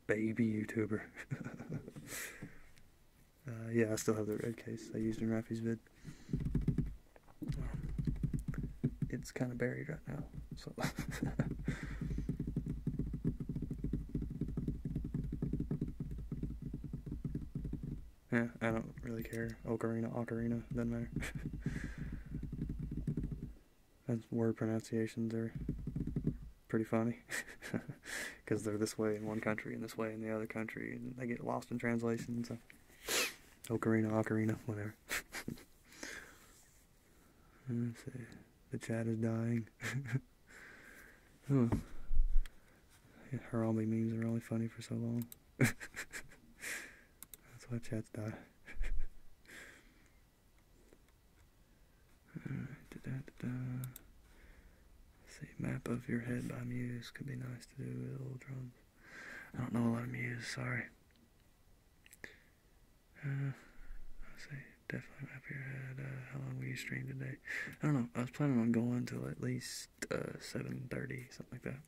baby YouTuber. Uh, yeah, I still have the red case I used in Rafi's vid. Um, it's kind of buried right now, so. Yeah, I don't really care. Ocarina, ocarina, doesn't matter. That's word pronunciations are pretty funny because they're this way in one country and this way in the other country, and they get lost in translations. ocarina, ocarina, whatever. Let's see. The chat is dying. oh. Harambe memes are only funny for so long. That's why chats die. see, map of your head by Muse could be nice to do with old drums. I don't know a lot of Muse, sorry. Uh, let's see, definitely map your head. Uh, how long will you stream today? I don't know. I was planning on going till at least uh, seven thirty, something like that.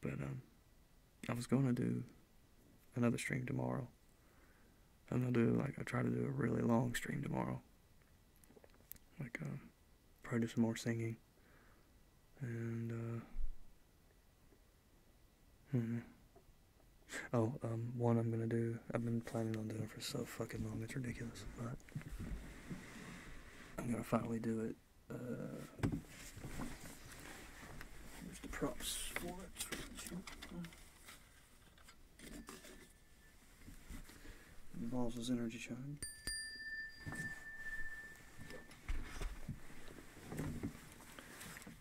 But um, I was gonna do another stream tomorrow. I'm gonna do like I try to do a really long stream tomorrow. Like um, probably do some more singing, and uh, hmm. Oh, um, one I'm gonna do. I've been planning on doing for so fucking long. It's ridiculous, but I'm gonna finally do it. Uh, here's the props for it. Involves his energy charge.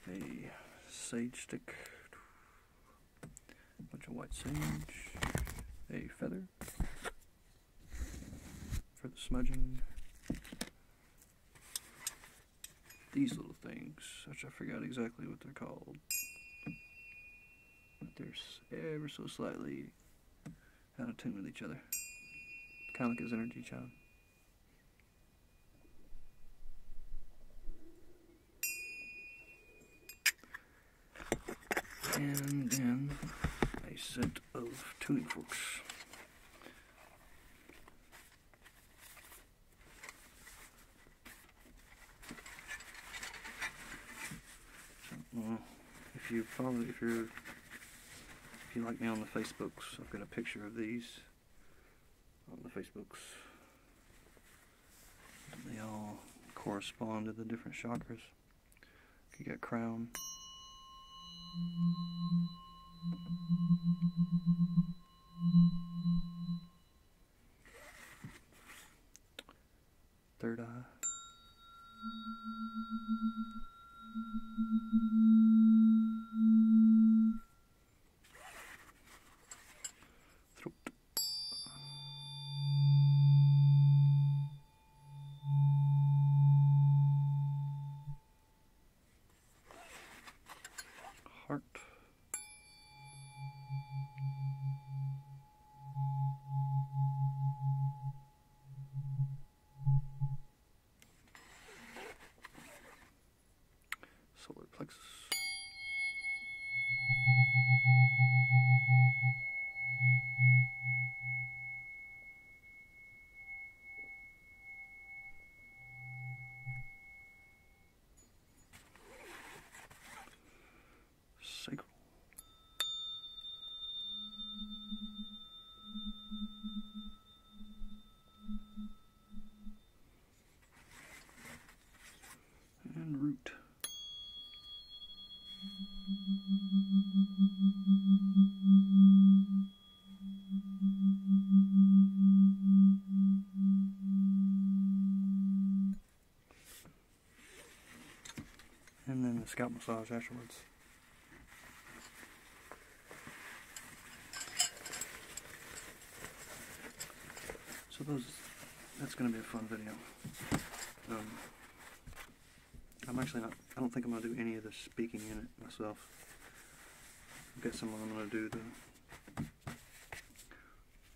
A sage stick. A bunch of white sage. A feather for the smudging. These little things, which I forgot exactly what they're called. But they're ever so slightly out of tune with each other. Kind of like his energy child and then a set of tuning forks. if you follow, if you if you like me on the Facebooks, I've got a picture of these on the Facebooks. They all correspond to the different shockers. You get crown. Third eye. Throat. Heart. Solar plexus. Cycle. And root and then the scalp massage afterwards. So those, that's going to be a fun video. Um, I'm actually not, I don't think I'm going to do any of the speaking in it myself. I guess I'm going to do the,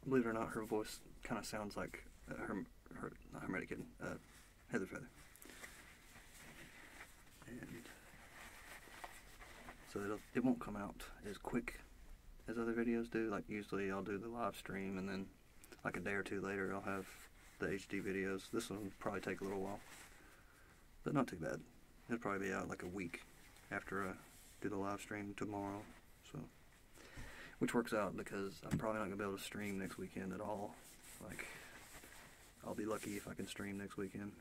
believe it or not, her voice kind of sounds like uh, her, her, not Hermetic Kitten, uh, Heather Feather. And so it'll, it it will not come out as quick as other videos do. Like usually I'll do the live stream and then like a day or two later I'll have the HD videos. This one probably take a little while, but not too bad. It'll probably be out like a week after I do the live stream tomorrow, so which works out because I'm probably not gonna be able to stream next weekend at all. Like, I'll be lucky if I can stream next weekend,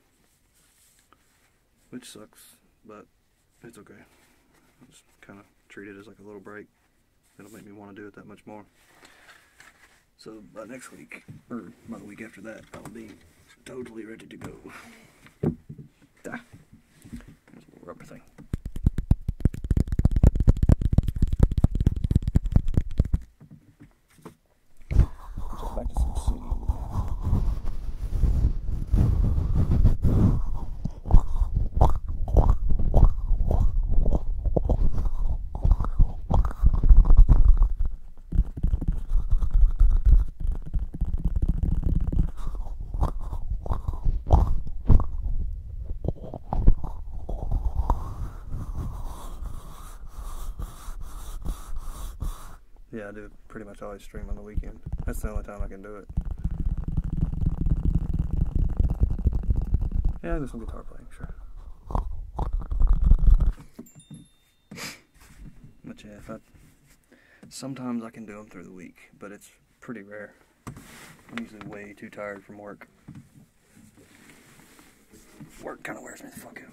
which sucks, but it's okay. just kind of treat it as like a little break. It'll make me want to do it that much more. So by next week, or by the week after that, I'll be totally ready to go. Ah. There's yeah, I do pretty much always stream on the weekend. That's the only time I can do it. Yeah, there's some guitar playing, sure. Much effort. Sometimes I can do them through the week, but it's pretty rare. I'm usually way too tired from work. Work kind of wears me the fuck out.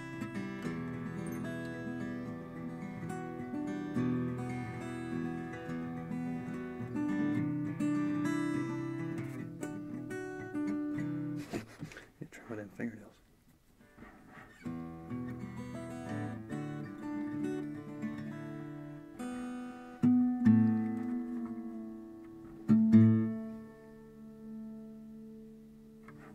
You're trim it fingernails.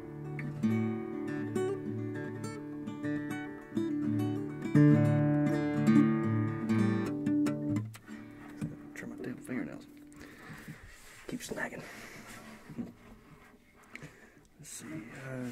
Trim my damn fingernails. Keep snagging. Let's see, uh,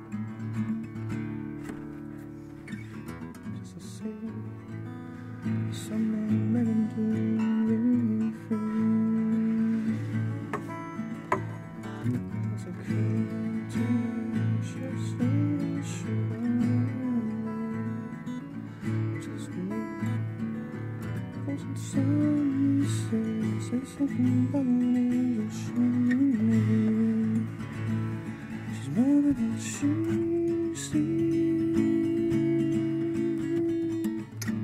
Just to see something that can do free. There's a key to just Just me, cause it's sunset. There's something about me that's shining. She's more than she sees. we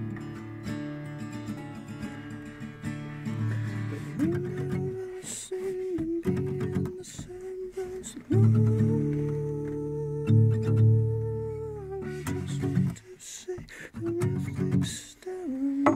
will sing and be in the sunburst of I just want to say the real staring at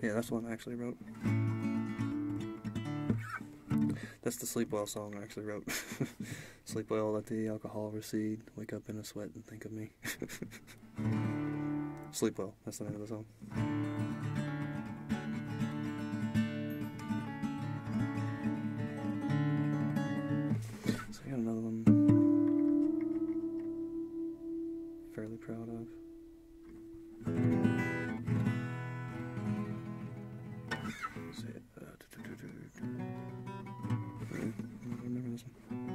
Yeah, that's the one I actually wrote. That's the Sleep Well song I actually wrote. Sleep well, let the alcohol recede, wake up in a sweat and think of me. Sleep well, that's the name of the song. So I got another one. Fairly proud of. So, uh, do, do, do, remember this one.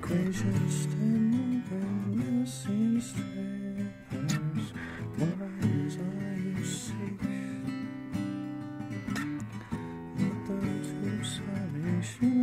Gracious, stand and you seem strange happens, my desire safe. Mother to salvation.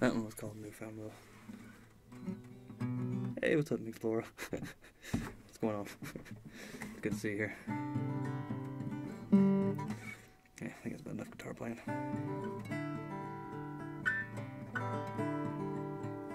that one was called Newfound Love. Hey, what's up, New Flora? what's going on? Good to see here. Yeah, I think it's about enough guitar playing.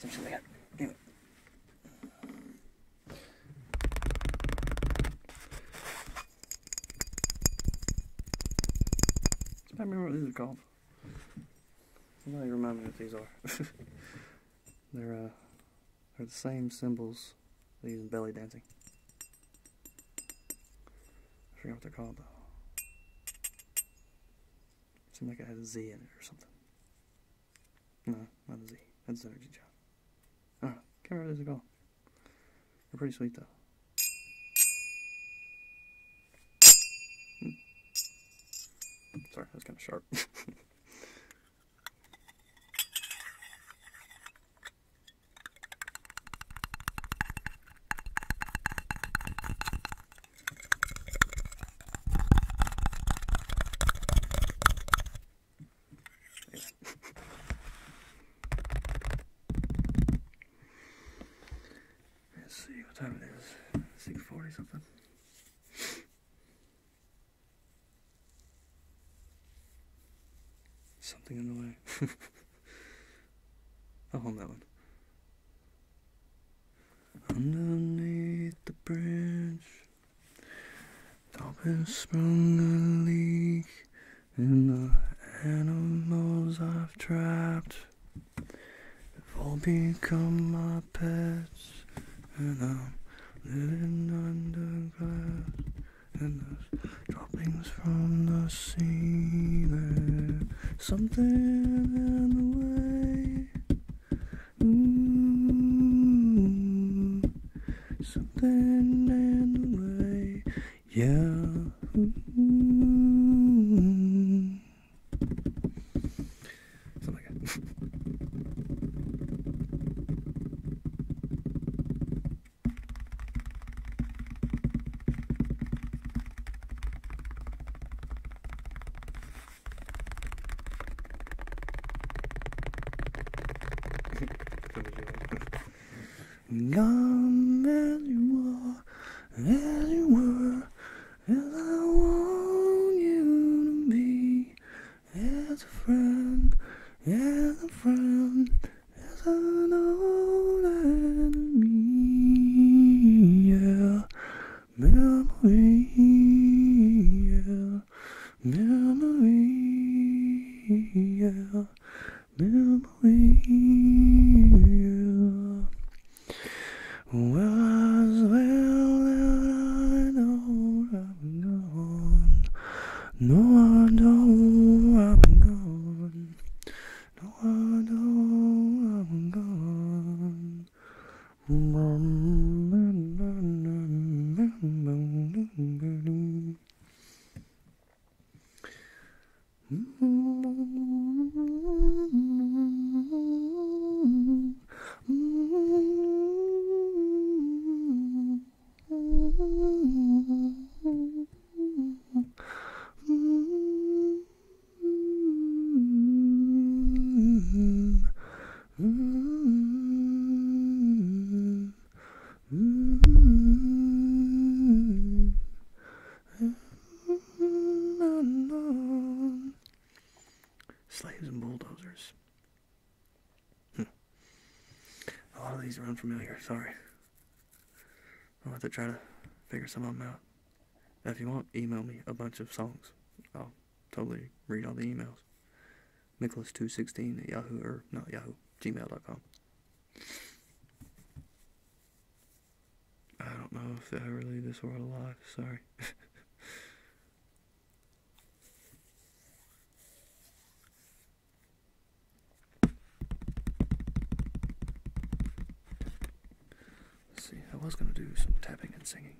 Something like that. Anyway. I remember what these are called. Somebody remind me what these are. they're uh, they're the same symbols they use in belly dancing. I forget what they're called though. Seemed like it had a Z in it or something. No, not a Z. That's an energy job. I don't know. Can't remember what these are called. They're pretty sweet though. Hmm. Sorry, that was kind of sharp. Let's see what time it is. Six forty something. Something in the way. I'll hold that one. Underneath the bridge, top has sprung a leak and the animals I've trapped. have all become my pets, and I'm living under glass. And am dropping from the ceiling. Something in the way. Ooh, something in the way. Yeah. Something like that. Come as you are, as you were, as you to be, as a friend, as a friend, as an old and me, yeah. Memory, yeah. Well, well I know I've gone. No, I know I've gone. No, I know I'm gone. Slaves and bulldozers. Hmm. A lot of these are unfamiliar, sorry. I'll have to try to figure some of them out. If you want, email me a bunch of songs. I'll totally read all the emails. Nicholas216 at Yahoo, or not Yahoo, gmail.com. I don't know if I really this world alive, sorry. Let's see, I was going to do some tapping and singing.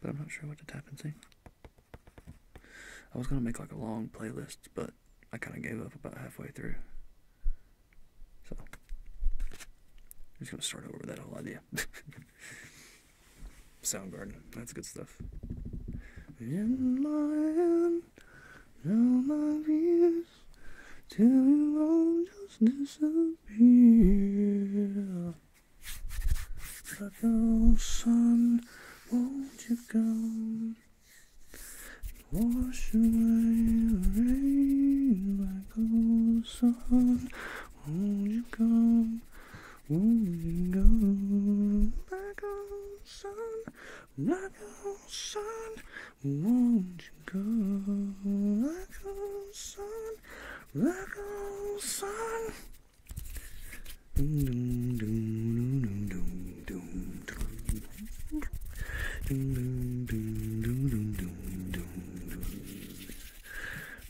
But I'm not sure what to tap and sing. I was going to make like a long playlist, but I kind of gave up about halfway through. So, I'm just going to start over with that whole idea. Soundgarden, that's good stuff. Now my fears till you all just disappear. But oh, won't you come? Wash away the rain like old sun. Won't you come? Won't you come? back home, sun? Like a sun, won't you go? Like a sun, like a sun. Doom, doom, doom, doom, doom, doom. Doom, doom, doom, doom, doom, doom, doom.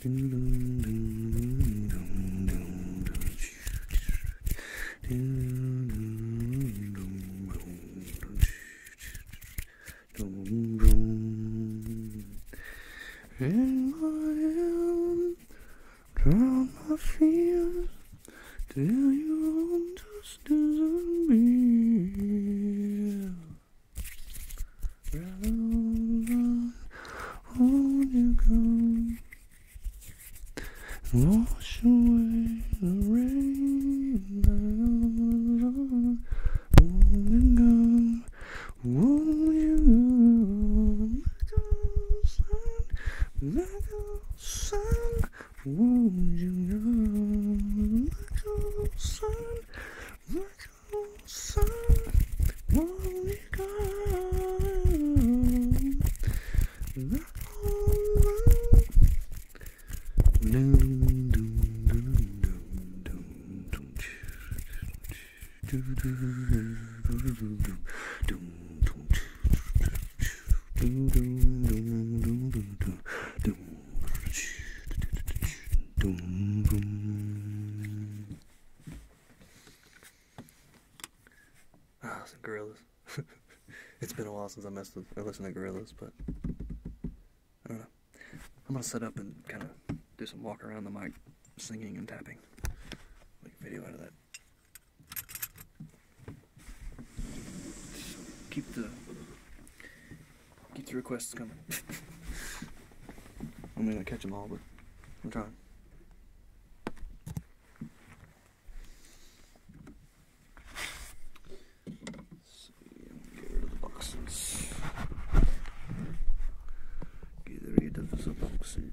Doom, doom, doom, doom, doom, doom, doom. In my hand, drown my fears till you just disappear. Rather than hold you close, Wash away the rain Won't you go, won't you go Like sun, like a sun Won't you go, like sun Like a sun, won't you go like a oh, ah, some gorillas. it's been a while since I messed with I listen to Gorillas, but I don't know. I'm gonna set up and kind of do some walk around the mic, singing and tapping. Make a video out of that. Keep the keep the requests coming. I'm gonna catch them all, but I'm trying. Hmm, get rid of the boxes. Get rid of the boxes.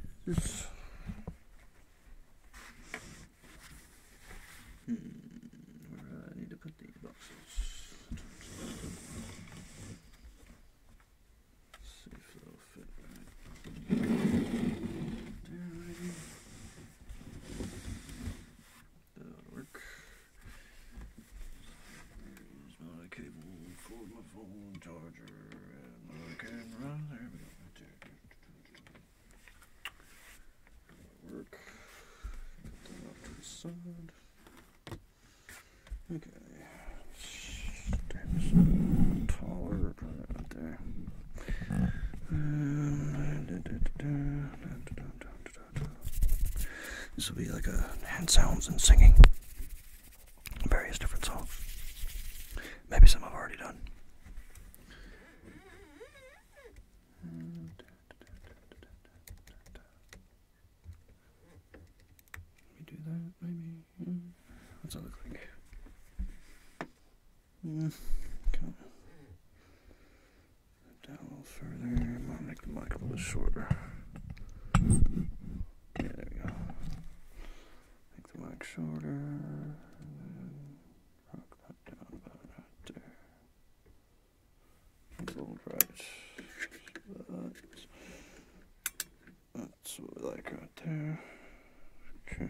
where do I need to put these boxes? That'll work. There's my cable for my phone charger and my camera. There we go. That'll work. Get that off to the side. Okay. Step taller right there. This will be like a hand sounds and singing various different songs. Maybe some I've already done. Let me do that, maybe. What's that look like? Down a little further. might make the mic a little shorter. Yeah, there we go. Make the mic shorter. Rock that down about right there. A little right. That's, what I like right there. Okay.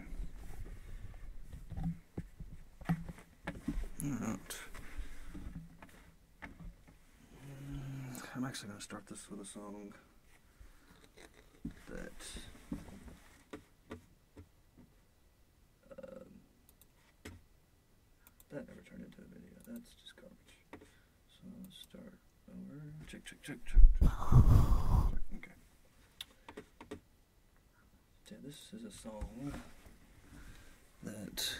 Mm, I'm actually going to start this with a song that um, that never turned into a video. That's just garbage. So let's start over. check, check, check, check. Okay this is a song that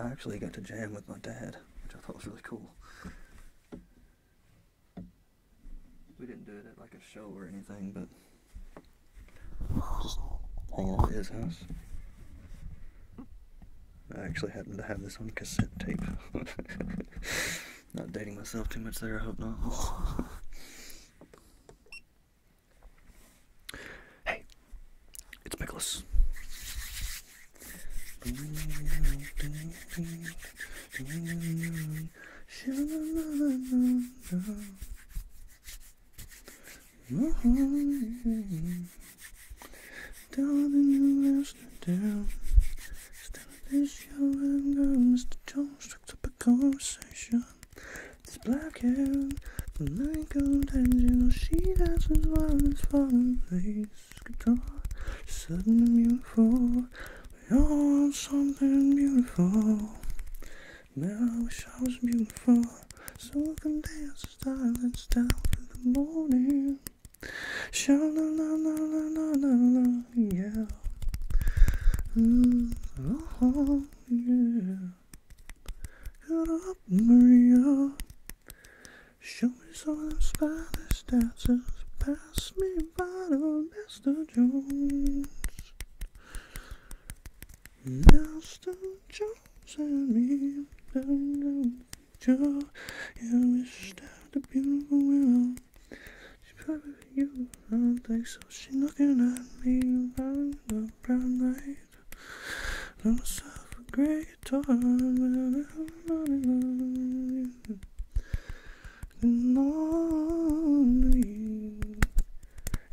I actually got to jam with my dad, which I thought was really cool. We didn't do it at like a show or anything, but just hanging out at his house. I actually happen to have this on cassette tape. not dating myself too much there, I hope not. Hey, it's Pickles. Started this show and Mr. Jones took up a conversation. It's black hair, the night cold and she dances while it's falling, plays guitar, sudden beautiful, we all want something beautiful. Man, I wish I was beautiful, so I can dance the silence dance in the morning. Sha yeah. Mm, oh, yeah. Get up, Maria. Show me some of them Spanish dances. Pass me by to Mr. Jones. Mr. Jones and me. know the future. Yeah, we stabbed a beautiful woman. She's probably you. I don't think so. She's looking at me. I know brown light. Let myself a great time. And lonely,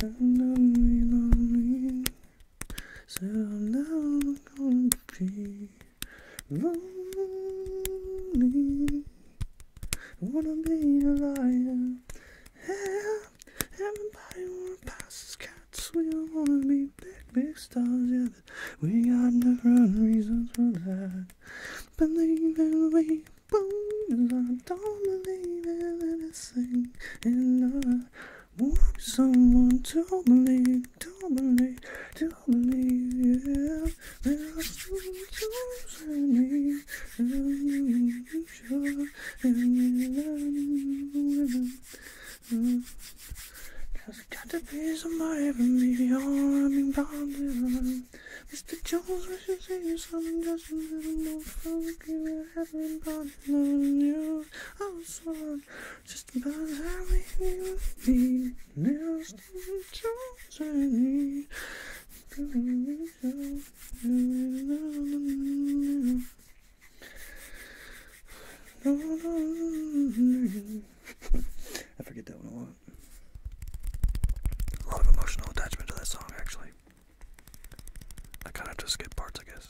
and lonely, lonely. So I'm never gonna be lonely. I wanna be a liar. Everybody wanna pass as cats. We don't wanna be big, big stars, yeah, we got different reasons for that. Believe in me, way I don't believe in anything. And I want someone to believe, to believe, to believe, yeah. That's what you me. Cause I got to be somebody for me, or I'm bound Mr. Jones, I should say you something just a little more funky. I haven't bothered you. I'm sorry, just about having you with me. Mr. Jones, I need to be so. I forget that one a lot. A lot of emotional attachment to that song, actually. I kind of just skip parts, I guess.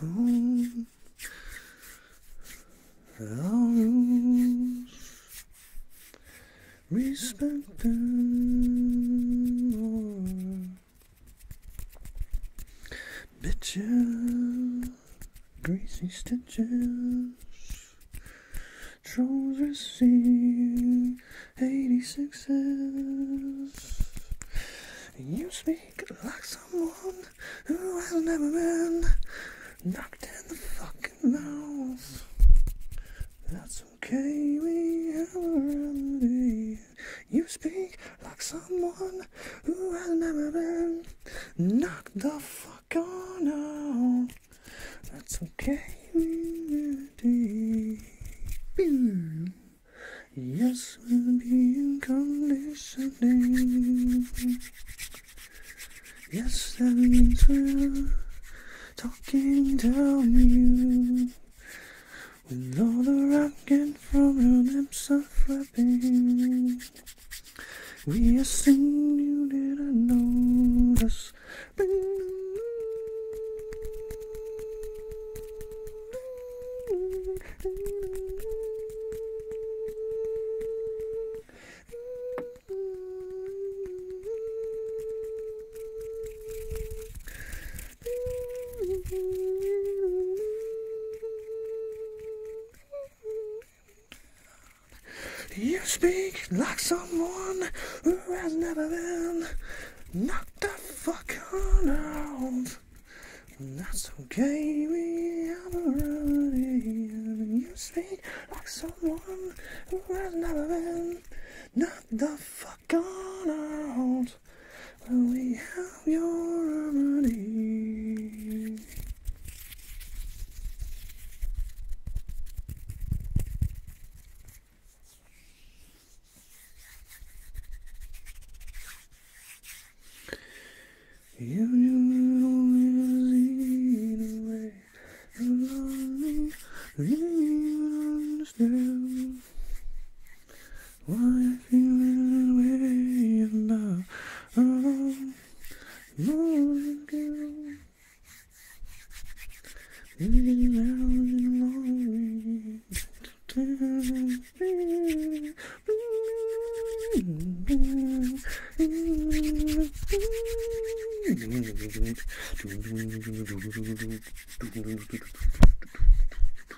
Home. Rules. Respect them. All. Bitches, greasy stitches, trolls receive 86s. You speak like someone who has never been knocked in the fucking mouth. That's okay, we have a remedy. You speak like someone who has never been knocked the fuck on out. That's okay. Yes, we'll be in conditioning. Yes, that means we're talking down you. With all the rocking from your lips are flapping. We are singing, you didn't notice. You speak like someone who has never been knocked the fuck out. That's okay, we have a remedy. You speak like someone who has never been knocked the fuck out. When we have your remedy? If you only see the way along me, then you understand. Why you feeling away now? Oh, no, girl. Living out in lonely.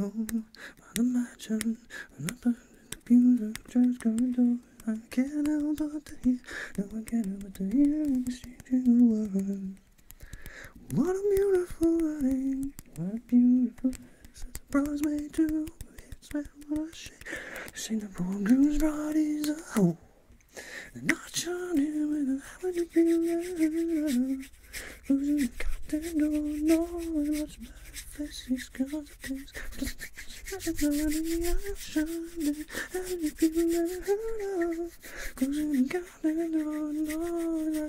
Oh, by the mansion, and up in the beautiful church I can't help but to hear, no, I can't help but to hear, exchanging words. What a beautiful rain. What a beautiful Since the bronze made to it's man what a shame. Sing the bridegroom's bride is a hoe. And not shine him with a how you feel Losing the content don't know and what's my face is cause of things. I'm Closing the goddamn door, no,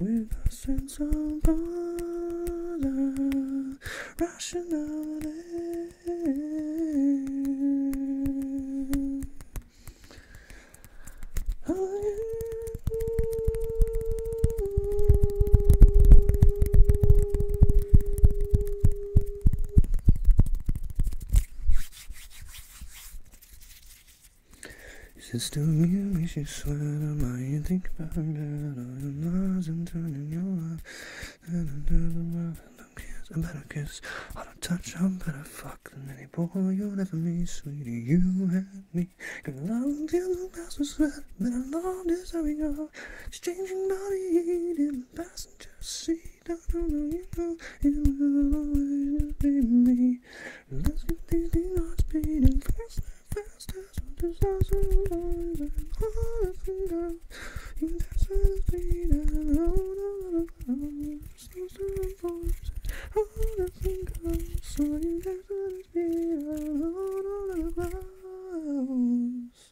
With a sense of order, rationality. Oh, is it still you? Is you sweat on my you think about it? All your lies and turning your life. I'm don't better kiss, I don't touch, I'm better fuck than any boy you'll ever meet, sweetie. You and me, girl, I don't feel the best with sweat, but love this how we know, exchanging bodies in passenger seat. I don't know, you know, it will always be me. Let's get these things on speed and faster, faster, so disaster lies and all is in go. You dance at the speed and oh, no, no, no, seems to enforce all is in go. So you dance at the speed and oh, no, no,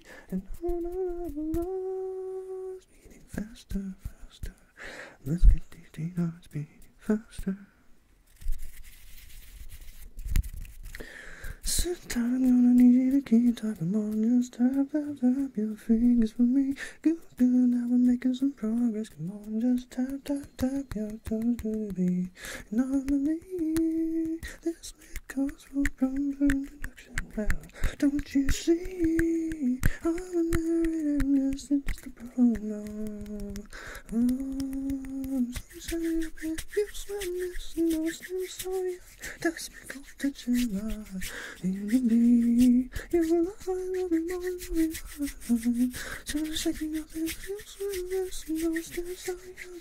me, and on and on speeding faster, faster. Let's get these things on speeding faster. Sometimes you're gonna need you to keep talking more. Just tap, tap, tap your fingers for me. Good, good, now we're making some progress. Come on, just tap, tap, tap your toes to the beat. And on the knee, this it calls for proper introduction now. Don't you see? I'm a narrator, and this is just a pronoun. Oh, I'm so sorry about you, sweetness, and I'm so sorry. That's my fault that you lie. You me, you lie, love me, more than you lie. So I'm shaking up and you, sweetness, and I'm so sorry.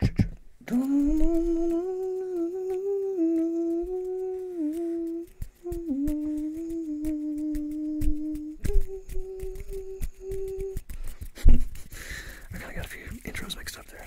I kind of got a few intros mixed up there.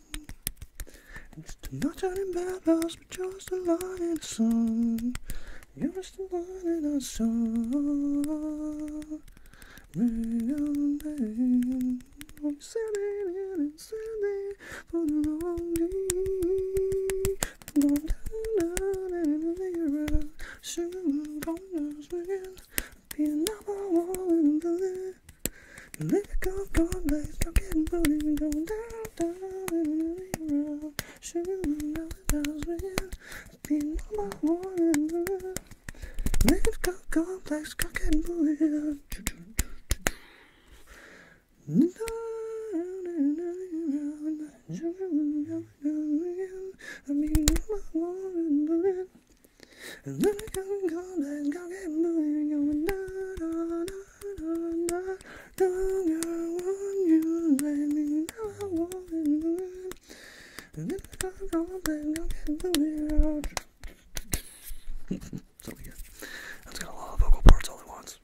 It's not turning bubbles, but just a light in the sun. You're just a light in the sun. Million days, I'm sending and sending for the long day. Don't turn in the mirror, soon corners will be number one in the Lyrical cornflakes, go getting booty and go down, down in the mirror. Shooting out the bells ringing, be number one in the Lyrical cornflakes, go getting booty and I mean, number one in the Lyrical cornflakes, go getting booty and go down, down, down not longer want you. Let me know I want it. And if I don't, then I'll get the weird. so good. That's got a lot of vocal parts all at once.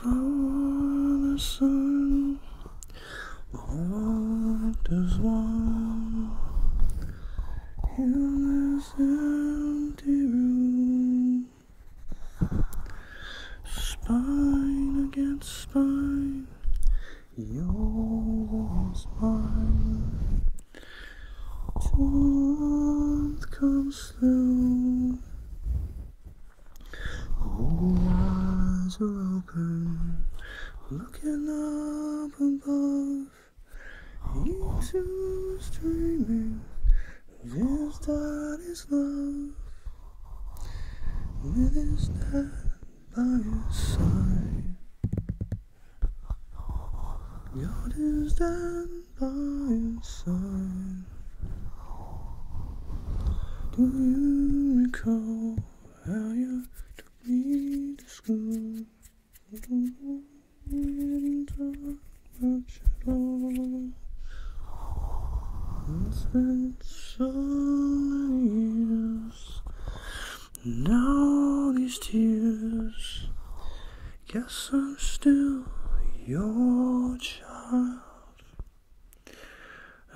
For the sun, walked as one in this empty room. Spine against spine, yours mine. Warmth comes through. eyes are open, looking up above. Into dreaming this time is love. With his dad by his side. God is dead by his side. Do you recall how you took me to school? We didn't talk much shadow so many years all these tears Guess I'm still your child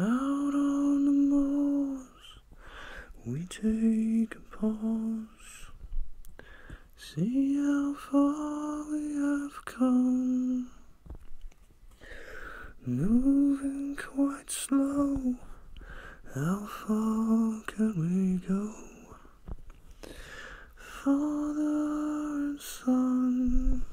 Out on the moors We take a pause See how far we have come Moving quite slow, how far can we go? Father and son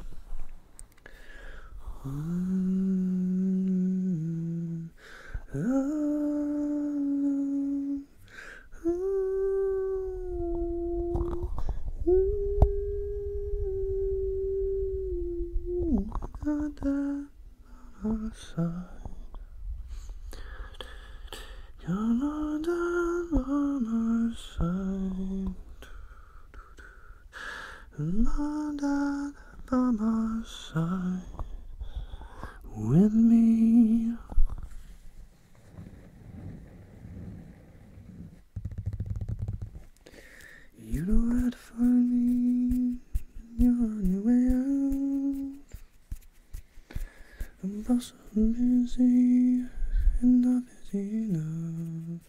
other side. You're on our side. Not on side. With me. You know how to find me. You're on your way out. I'm boss busy and not busy enough.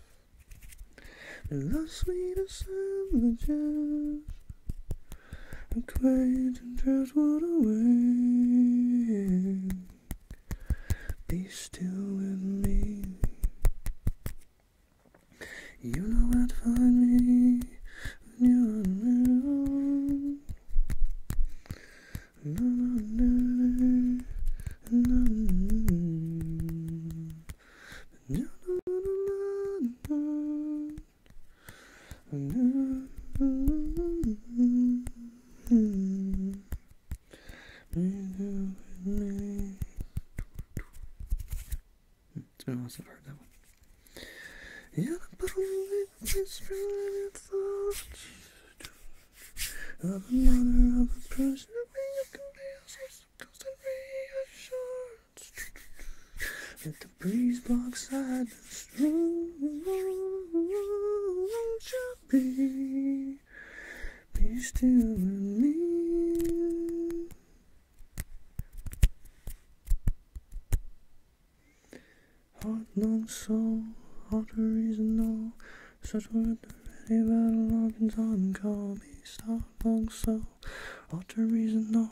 And the sweetest sandwiches. I'm quiet and driftwood away. Be still with me. You know where to find me you're on No, it's been a while since I've heard that one. Yeah, but only this really thought of the mother of the person you can be constant reassurance. Let the breeze block silence. Won't you be? wish still, believe. Heart, long soul, heart reason, no. Such word already, but a long time call me. Start long soul, heart reason, no.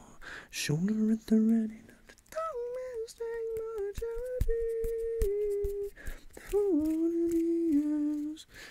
Shoulder at the ready, not the tongue, man's take my charity. Holding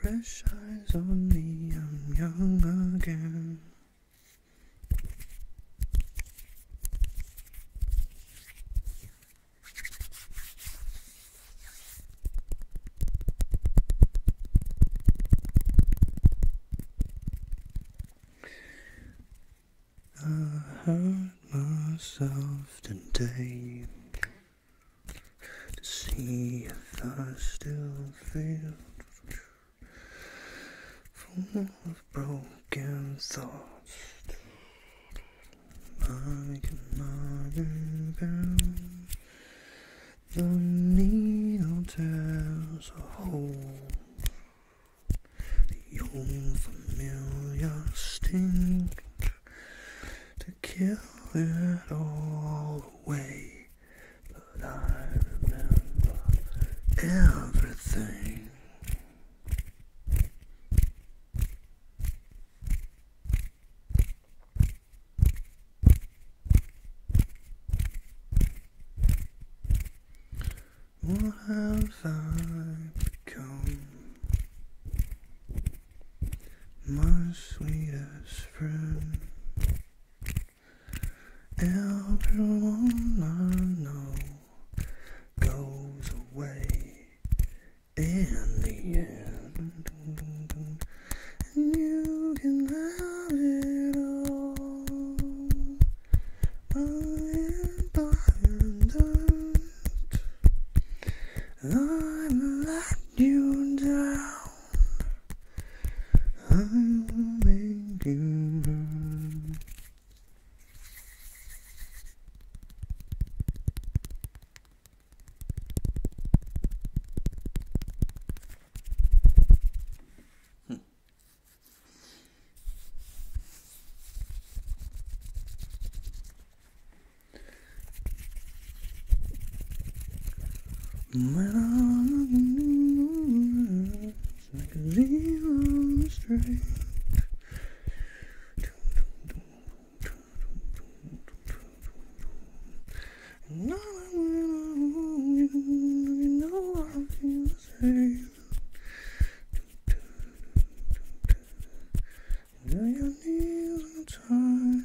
fresh eyes on me, I'm young again. I hurt myself today to see if I still feel full of broken thoughts. I cannot unbound. The needle tears a hole. The old familiar sting to kill it all away but I remember everything. What have I become? My sweetest friend. Everyone I know goes away in the end, and you can have it all. By and by and dirt, I you down. I will make you burn. It's like a zero string. And all I want you, you know I feel the same. Now your knees are tied.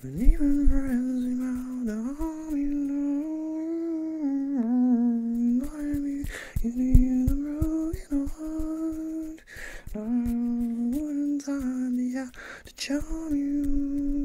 When even friends about the army Remind you need a broken heart Now wouldn't to charm you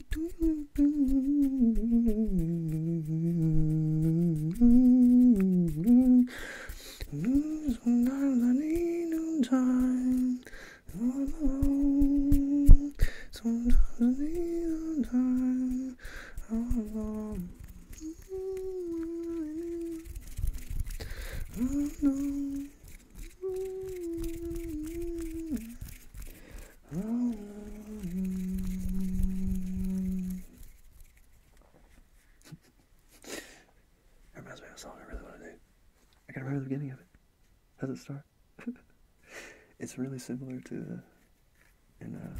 Sometimes I need no time all alone. Sometimes I need no time all alone. Oh no reminds me of a song I really want to do. I can remember the beginning of it. How does it start? it's really similar to uh, in uh,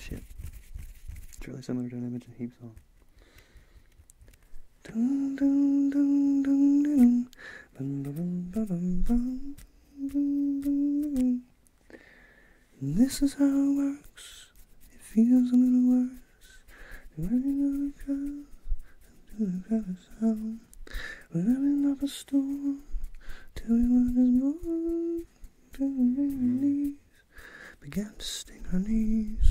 shit. It's really similar to an image of heap song. And this is how it works. It feels a little worse. Running out of crowd, doing kind of We're having up a storm till we were just born. Till we made our knees began to sting our knees.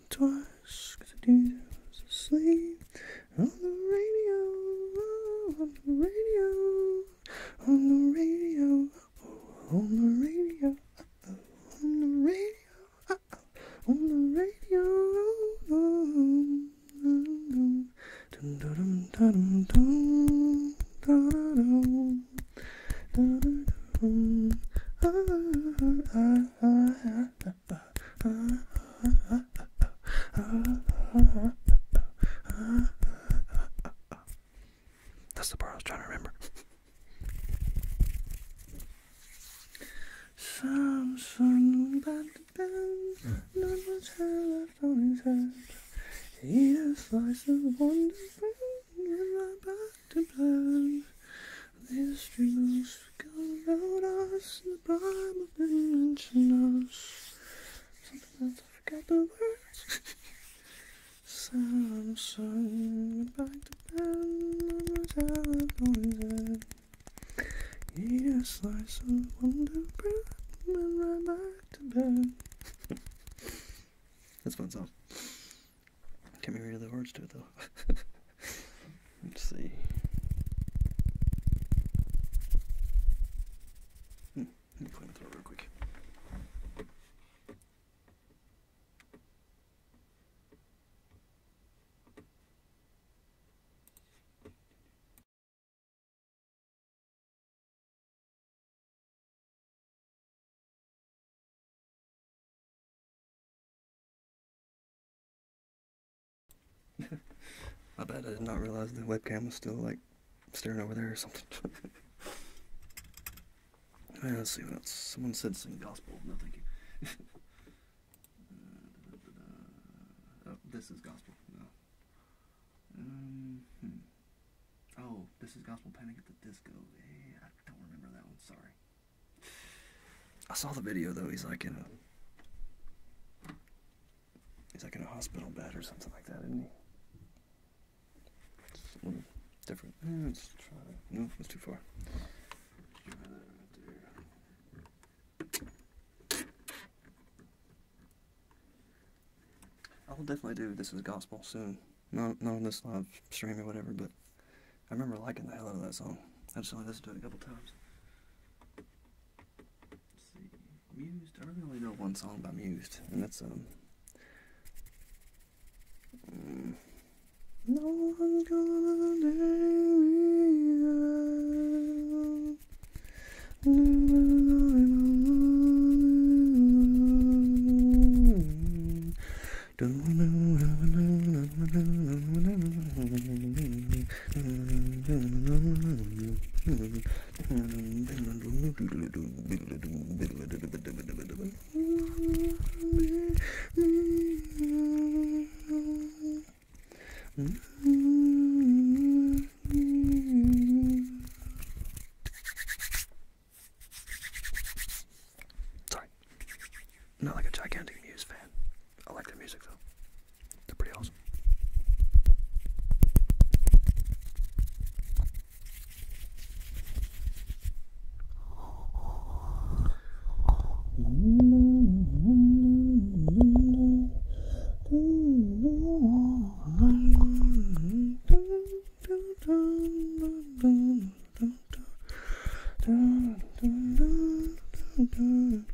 it twice, cause I did I was asleep on the radio, oh, on the radio, on the radio, oh, on the radio, oh, on the radio, oh, on the radio, oh, on the radio. I, I, I, that's the part I was trying to remember. Samson about the bend, not much hair left on his head. He a slice of wonder, bring him right back these strings go around us in the prime of dimension us. Something else, I forgot the words. Samsung, back to pen on the telephone. Eat a slice of wonder bread and right back to bed. That's a fun song. Can't remember the words to it though. Let's see. Hmm, let me clean the real quick. I bet I did not realize the webcam was still like staring over there or something. right, let's see what else. Someone said sing gospel. No, thank you. Oh, this is gospel. No. Um, hmm. Oh, this is gospel panic at the disco. Yeah, I don't remember that one. Sorry. I saw the video though. He's like in a he's like in a hospital bed or something like that, isn't he? It's a little different. Eh, let's try. No, it's too far. I will definitely do This Is Gospel soon. Not, not on this live stream or whatever, but I remember liking the hell out of that song. I just only listened to it a couple times. Mused. I really only know one song by Mused, and that's um. Mm. Sorry. Not like a gigantic Muse fan. I like their music though. They're pretty awesome.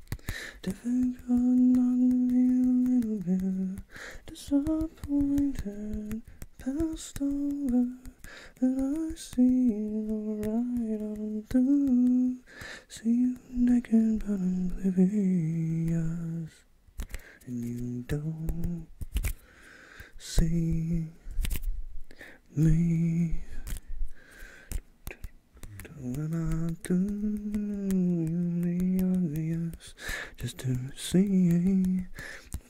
i Difficult not to be a little bit disappointed, passed over, and I see it alright on through. See you naked but oblivious, and you don't see me. When I do you the obvious just to see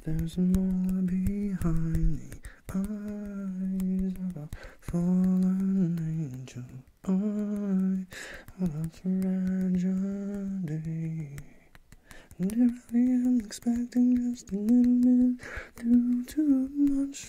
there's more behind the eyes of a fallen angel. I on a fragile day. And if I am expecting just a little bit, do too much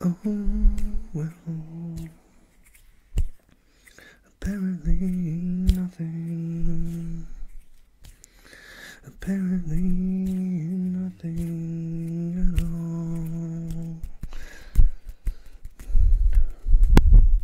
Oh well, apparently nothing. Apparently nothing at all.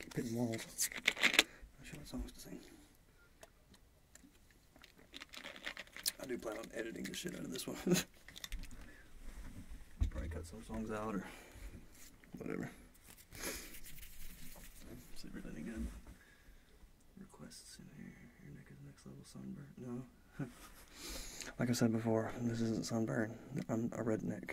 Keep hitting walls. I'm sure that's always the thing. I do plan on editing the shit out of this one. Probably cut some songs out or whatever. It's really good. Requests in here. Your neck is next level sunburn. No. like I said before, this isn't sunburn. I'm a redneck.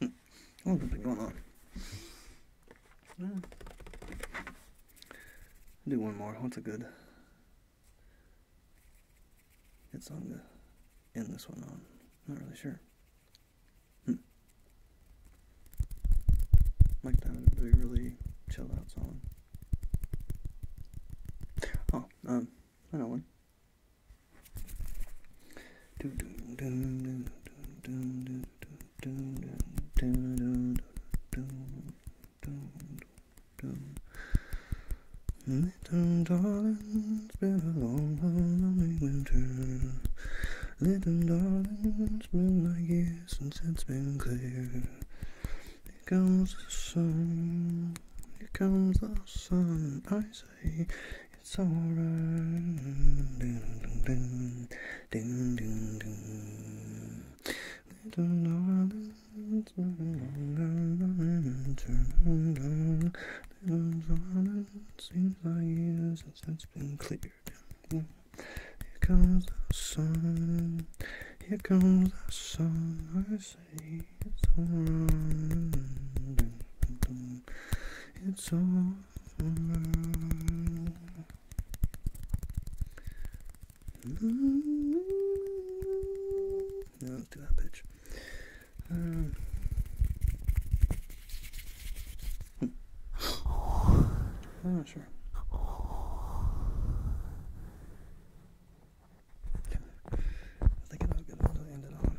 Hmm. What's been going on? do one more. What's a good? Good song to end this one on. Not really sure. Like that would be really chill out song. Oh, um, I know one. Little darling, it's been a long, lonely winter. Little darling, it's been a like year since it's been clear. Here comes the sun, here comes the sun, ice say it's alright. Seems like years since it's been cleared. Here comes the sun. Here comes the sun. I say it's alright. It's alright let's do that pitch. I'm not sure. I think I know a to end it on.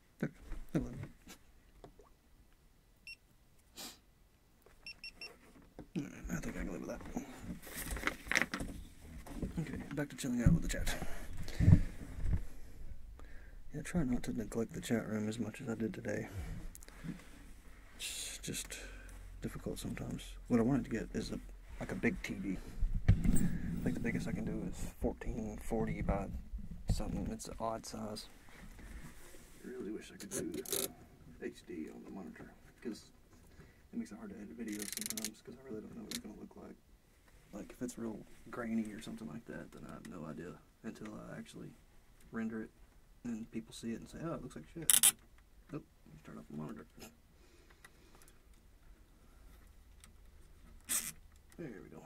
I think I can live with that. Okay, back to chilling out with the chat. Yeah, try not to neglect the chat room as much as I did today. It's just difficult sometimes. What I wanted to get is a like a big TV. I think the biggest I can do is four. 1440 by something. It's an odd size. I really wish I could do HD on the monitor because it makes it hard to edit videos sometimes because I really don't know what it's going to look like. Like if it's real grainy or something like that, then I have no idea until I actually render it and people see it and say, oh, it looks like shit. Oh, turn off the monitor. There we go.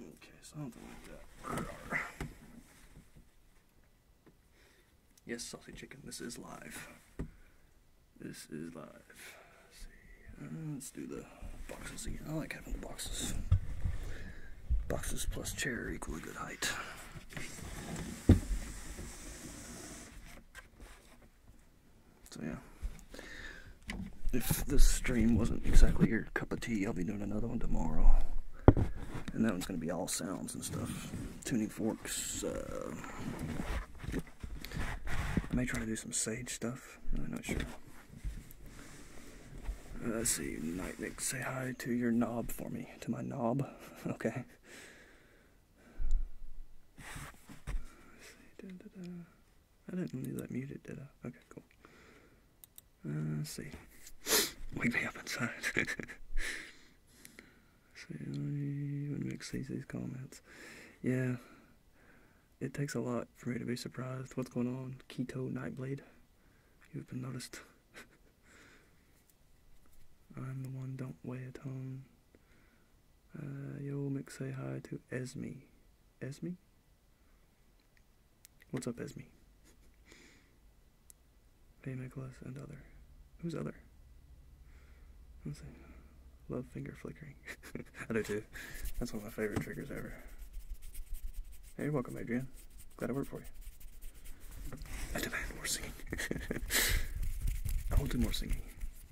Okay, something like that. Yes, Saucy Chicken, this is live. This is live. Let's uh, do the boxes again. I like having the boxes. Boxes plus chair equal a good height. So yeah if this stream wasn't exactly your cup of tea, I'll be doing another one tomorrow. And that one's going to be all sounds and stuff. Tuning forks. Uh, I may try to do some sage stuff. I'm not sure. Uh, let's see. Night Nightnick, say hi to your knob for me. To my knob. Okay. I didn't leave that muted, did I? Okay, cool. Uh, let's see. Wake me up inside. so when Mick sees these comments. Yeah. It takes a lot for me to be surprised. What's going on? Keto Nightblade. You've been noticed. I'm the one don't weigh a ton. Uh, yo, Mick say hi to Esme. Esme? What's up, Esme? Hey, Nicholas and other. Who's other? Love finger flickering. I do too. That's one of my favorite triggers ever. Hey, you're welcome, Adrian. Glad I worked for you. I demand more singing. I will do more singing.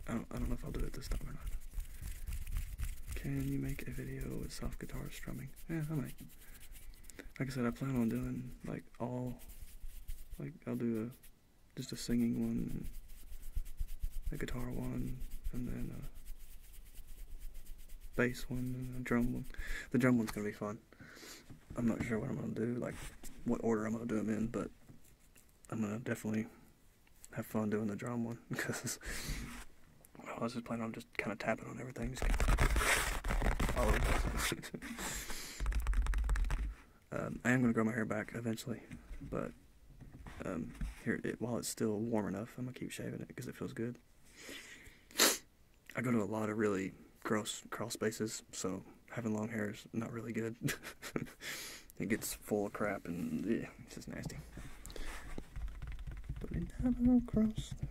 I don't know if I'll do it this time or not. Can you make a video with soft guitar strumming? Yeah, I might. Like I said, I plan on doing like all, like I'll do a, just a singing one, a guitar one, and then a bass one, and a drum one. The drum one's gonna be fun. I'm not sure what I'm gonna do, like what order I'm gonna do them in, but I'm gonna definitely have fun doing the drum one because I was just planning on just kind of tapping on everything, um, I am going to grow my hair back eventually, but um, here while it's still warm enough, I'm going to keep shaving it because it feels good. I go to a lot of really gross crawl spaces, so having long hair is not really good. it gets full of crap and it's just nasty. But it never crossed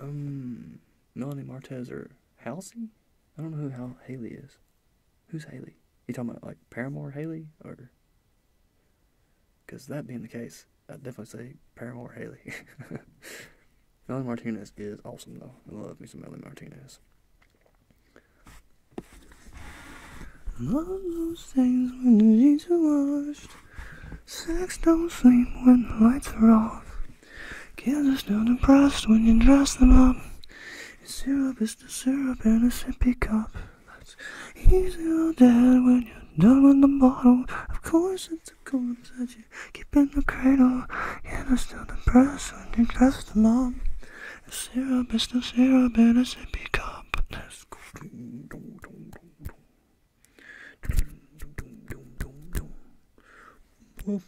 Um, Melanie Martinez or Halsey? I don't know who Hal- Haley is. Who's Haley? You talking about like Paramore Haley or? Because that being the case, I'd definitely say Paramore Haley. Melanie Martinez is awesome though. I love me some Melanie Martinez. And all those things when the jeans are washed. Sex don't sleep when the lights are off. Kids are still depressed when you dress them up. Your syrup is the syrup in a sippy cup. That's easy or dead when you're done with the bottle. Of course it's a corns that you keep in the cradle. Kids are still depressed when you dress them up syrup is the syrup in a sippy cup. If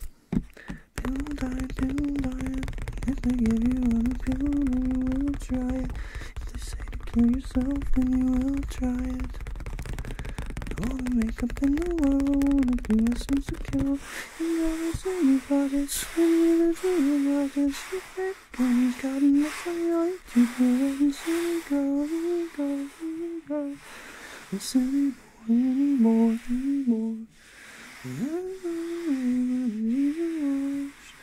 they give you a pill, then you will try it. If they say to kill yourself, then you will try it. All the makeup in the world, if you listen to kill, you never see your pockets, you never see your pockets. When he's got enough for you, keep on silly girl, silly girl, silly girl. And silly boy anymore, anymore. And I don't need to rush.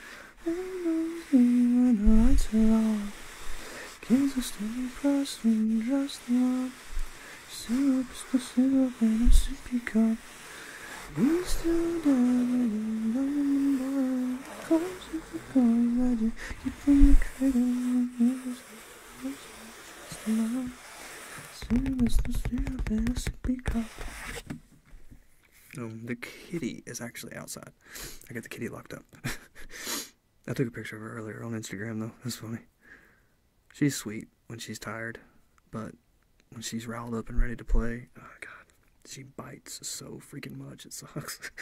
I don't when the lights are off. Kids are standing fast and just love. Syrup, the syrup in a sippy cup. Um, the kitty is actually outside. I got the kitty locked up. I took a picture of her earlier on Instagram, though. That's funny. She's sweet when she's tired, but when she's riled up and ready to play, oh, god, she bites so freaking much. It sucks.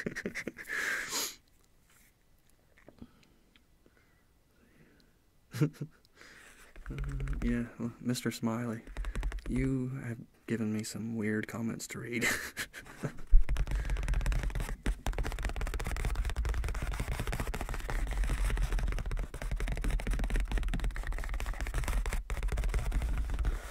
yeah, Mr. Smiley, you have given me some weird comments to read.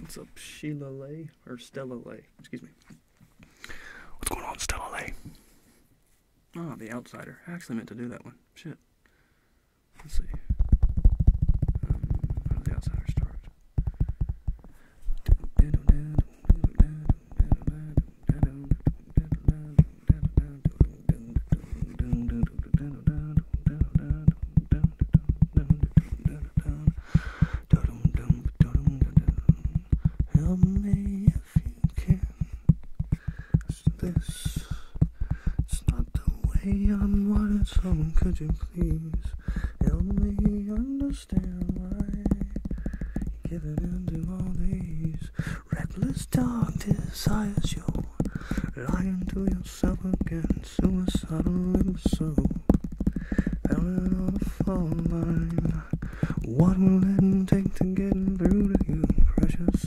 What's up, Sheila Lay or Stella Lay? Excuse me. What's going on, Stella Lay? Ah, oh, The Outsider. I actually meant to do that one. Shit. Let's see. Um, how does The Outsider start? Help me if you can. This, it's not the way I'm wanted, so could you please help me understand why you're giving in to all these reckless dark desires? You're lying to yourself again, suicidal and so. Fell on a fault line. What will it take to get through to you, precious?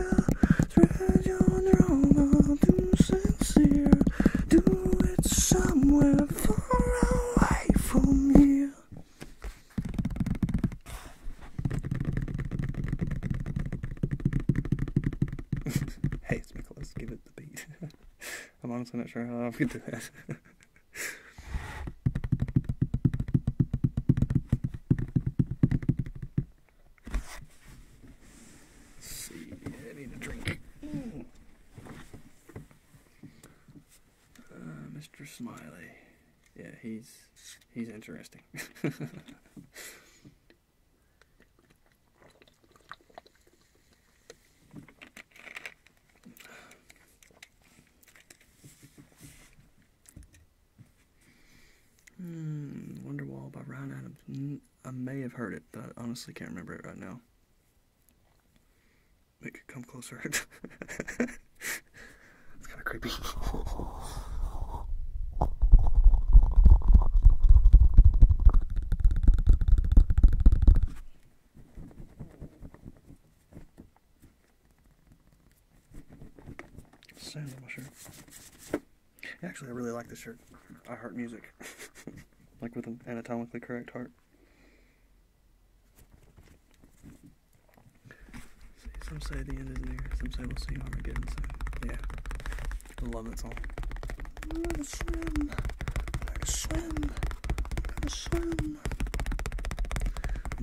Spread your drama, do sincere. Do it somewhere far away from here. hey, it's Nicholas, give it the beat. I'm honestly not sure how I am gonna do that. Let's see, I need a drink. Uh, Mr. Smiley. Yeah, he's he's interesting. Hmm, Wonderwall by Ryan Adams. I may have heard it, but honestly can't remember it right now. Make It come closer. it's kind of creepy. Sand shirt. Actually, I really like this shirt. I heart music. like with an anatomically correct heart. See, some say the end is near, some say we'll see Armageddon soon. Yeah. I love that song. I'm gonna swim. I'm gonna swim. I'm gonna swim.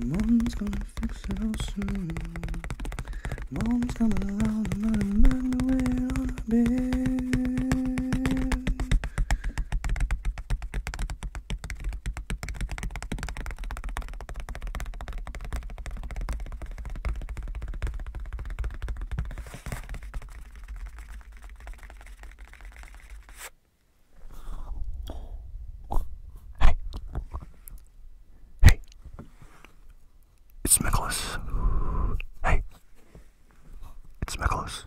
Moon's gonna fix it all soon. Mom's coming around, I'm gonna way on the bed. Hey, it's Nicholas. Hey, it's Nicholas.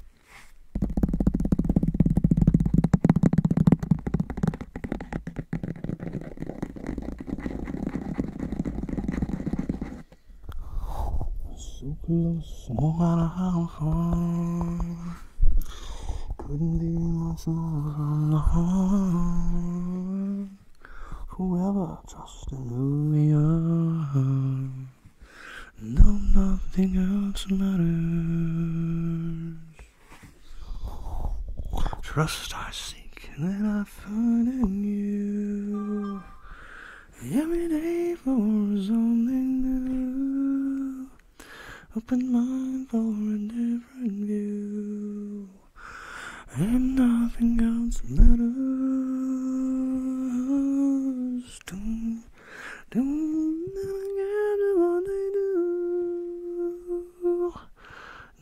So close, couldn't be much more from the heart whoever just who we are, No, nothing else matters. Trust I seek, and then I find in you. Every day for something new. Open mind for a different view and nothing else matters. Don't, don't never care what they do.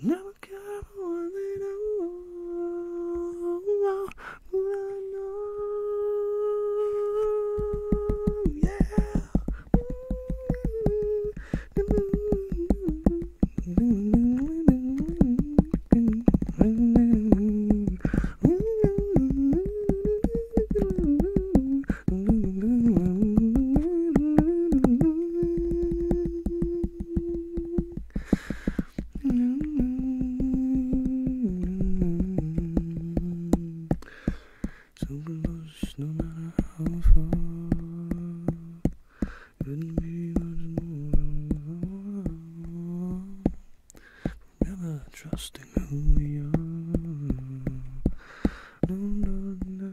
Never care what they do. But I know, yeah. So close, no matter how far. Couldn't be much more. Forever trusting who we are. no, no, no.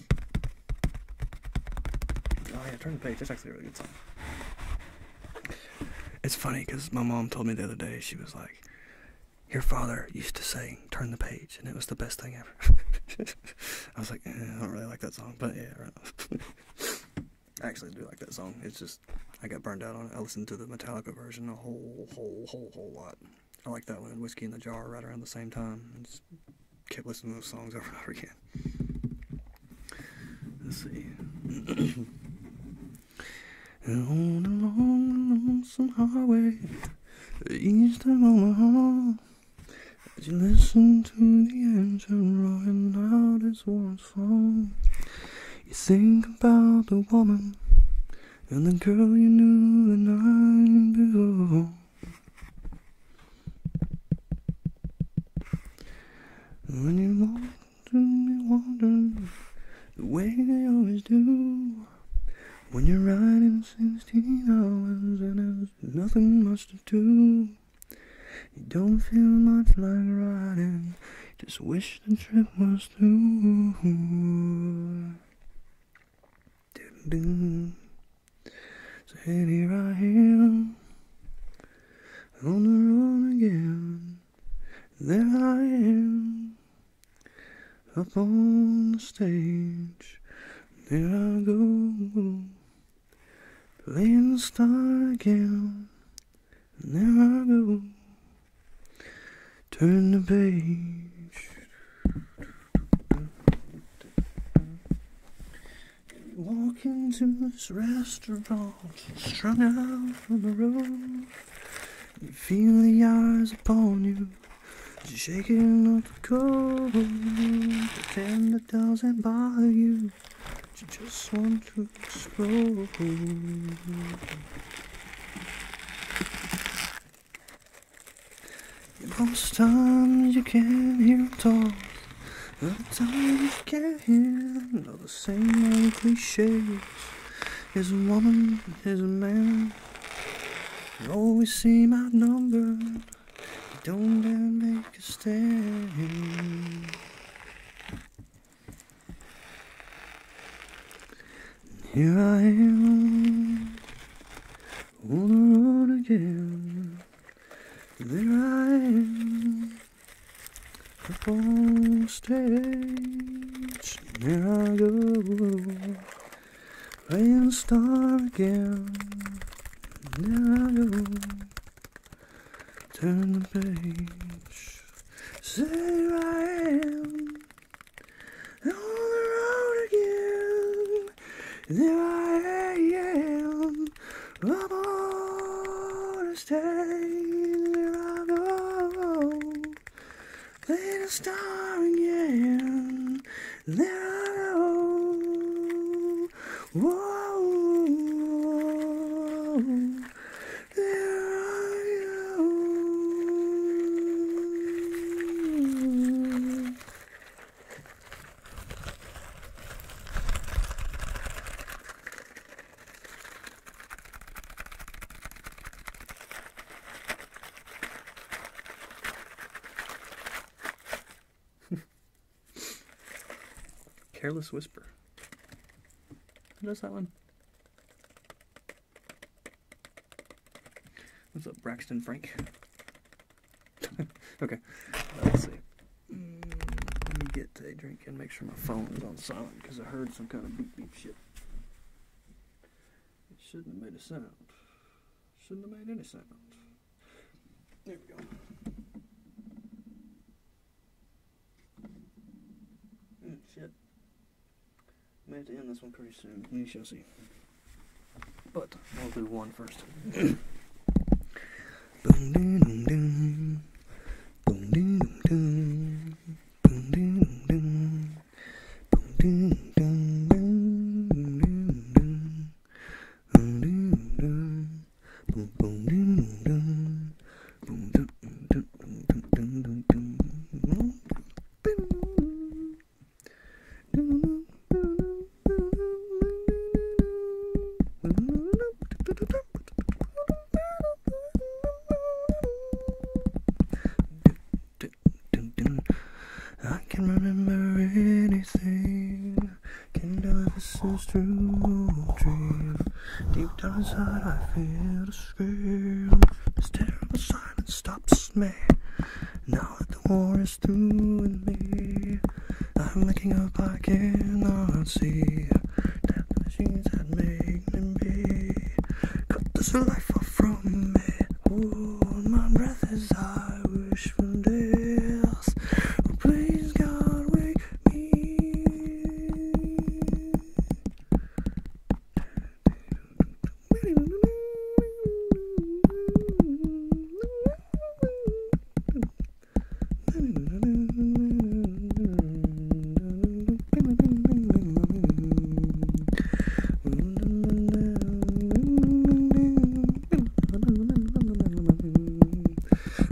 Oh yeah, turn the page. That's actually a really good song. It's funny because my mom told me the other day she was like, "Your father used to sing Turn the Page, and it was the best thing ever." I was like, eh, I don't really like that song, but yeah, I actually do like that song. It's just I got burned out on it. I listened to the Metallica version a whole, whole, whole, whole lot. I like that one. Whiskey in the Jar right around the same time kept listening to those songs over and over again. Let's see. on a long, lonesome highway, east of Omaha, as you listen to the engine roaring out as one's fall, you think about the woman and the girl you knew the night before. When you are to me the way they always do. When you're riding 16 hours and there's nothing much to do. You don't feel much like riding, just wish the trip was through. So here I am on the run again. There I am up on the stage. There I go playing the star again. There I go turn the page. Walk into this restaurant, strung out on the road. You feel the eyes upon you, shaking up the cold. Pretend it doesn't bother you, you just want to explore. Most times you can not hear him talk, other times you can't hear him. All the same old cliches. Here's a woman, here's a man. You always seem outnumbered. You don't dare make a stand. Here I am on the road again. There I am upon stage. There I go, playing star again. There I go, turn the page. There I am on the road again. There I am. I'm on a stage. There I go. Little star again. There I go. There I go. Careless Whisper. Who does that one? What's up, Braxton Frank? okay, let's see. Let me get a drink and make sure my phone is on silent because I heard some kind of beep beep shit. It shouldn't have made a sound. Shouldn't have made any sound. There we go. Shit. shit. May have to end this one pretty soon. You shall see. But I'll do one first. I can not remember anything. Can not this is true dream. Deep down inside, I feel a scream. This terrible silence stops me. Now that the war is just and me. I'm looking up, I cannot see. Tap machines that make me be. Cut this life off from me. Hold my breath as I wish for this. Oh, please, God, wake me.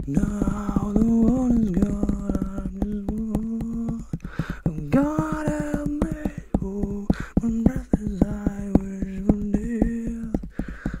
Now the world is gone, I'm just one. Oh God, help me. Oh, breath is I wish from death.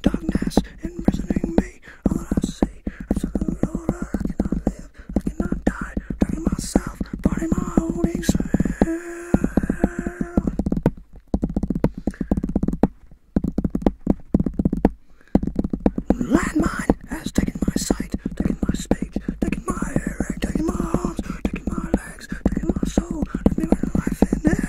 Darkness imprisoning me. All I see, I saw the Lord. I cannot live. I cannot die. Burning myself, burning my holding self. Landmine has taken my sight, taken my speech, taken my hearing, taken my arms, taken my legs, taken my soul, left me life in the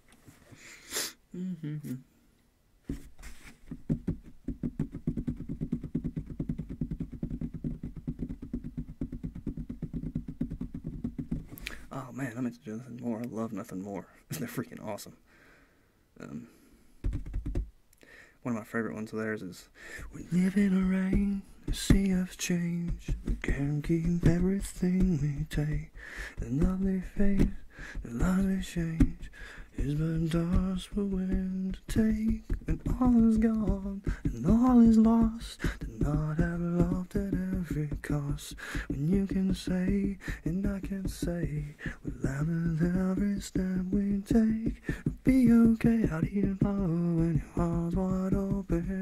Mm-hmm. Oh man, I meant to do nothing more. I love nothing more. They're freaking awesome. Um, one of my favorite ones of theirs is We live in a rain, a sea of change. We can't keep everything we take. The lovely face, the lovely change is but dust for wind to take. And all is gone, and all is lost. To not have loved at every cost. When you can say, and I can say, with are loving every step we take. we will be okay out here tomorrow when your heart's wide open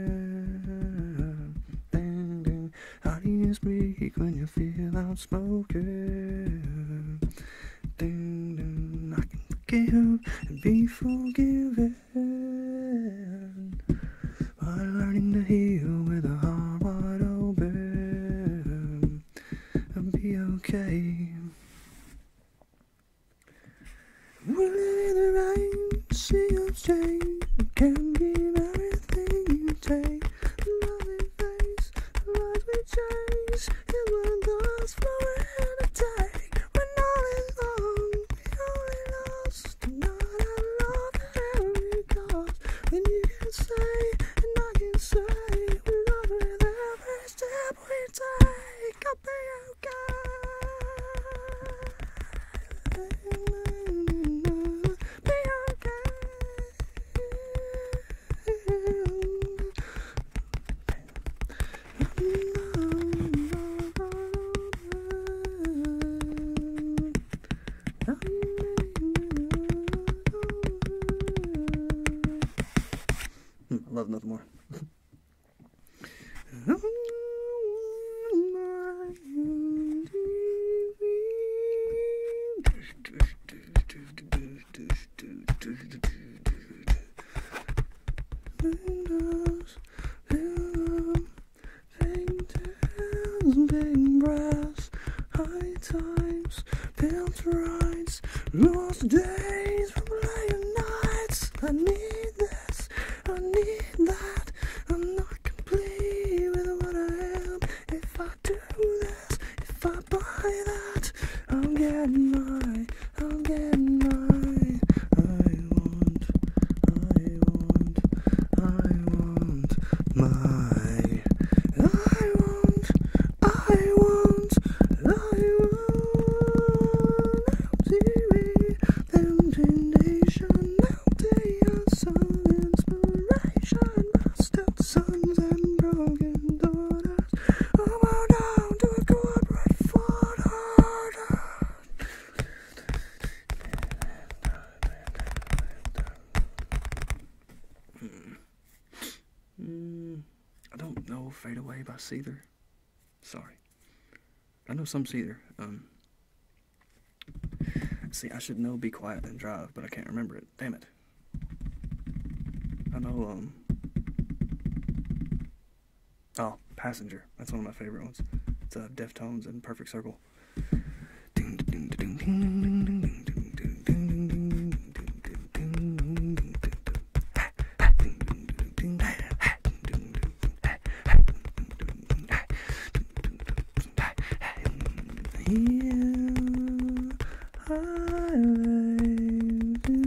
smoking. Honey is weak when you feel I'm smoking. Ding, ding, I can forgive and be forgiven. By learning to heal with a heart wide open and be okay. Will it rain? See you say can be everything you take. Love Lovely face, lies we chase. It will last for an attack. We're not alone, only lost. Not I love every cost. When you can say, and I can say, we are love the first step we take. I'll be okay. Hmm, I love nothing more. Windows, little thing tells big brass, high times, built rides, lost days from later nights. I need this, I need that. I'm not complete with what I am. If I do this, if I buy that, I'm getting my, I'm getting my. I want, I want, I want my. I want, I want, I want. I'm foundation. Now they inspiration. Bastard sons and broken daughters. Oh, bow down to a corporate father. Hmm. I don't know Fade Away by Seether. Sorry. I know some Seether. Um, See, I should know be quiet and drive, but I can't remember it. Damn it. I know, um. Oh, Passenger. That's one of my favorite ones. It's uh, Deftones and Perfect Circle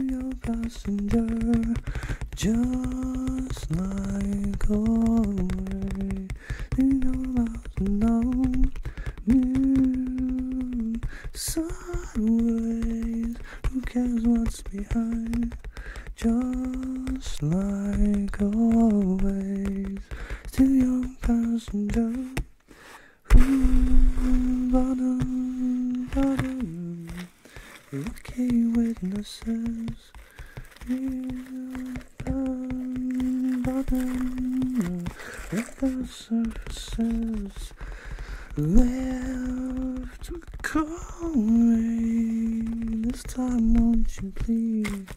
your passenger, just like always. You know now, you sideways. Who cares what's behind? Just like always keys to your passenger. Ooh, bottom, bottom. Lucky witnesses. Bottom, bottom. At the surfaces. Left calling. This time, won't you please?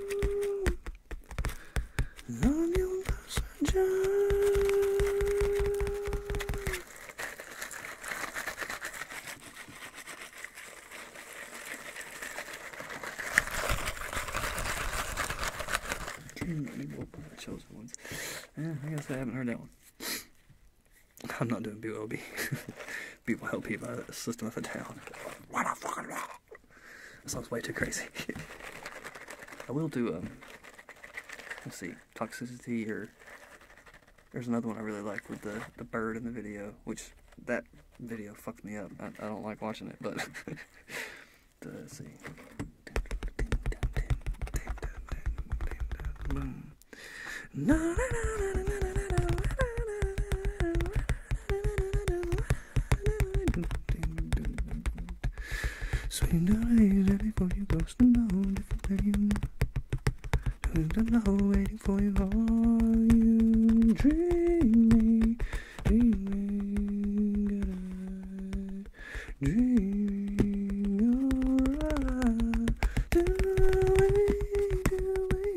I'm your passenger. Chills for I guess I haven't heard that one. I'm not doing BOB. People well be the system of a down. What a fucking That sounds way too crazy. I will do let's see, toxicity or there's another one I really like with the, the bird in the video, which that video fucked me up. I don't like watching it, but let's see. So you know it before you goes to know different than you Who's the waiting for you are you dreaming dreaming dreaming you're right doing doing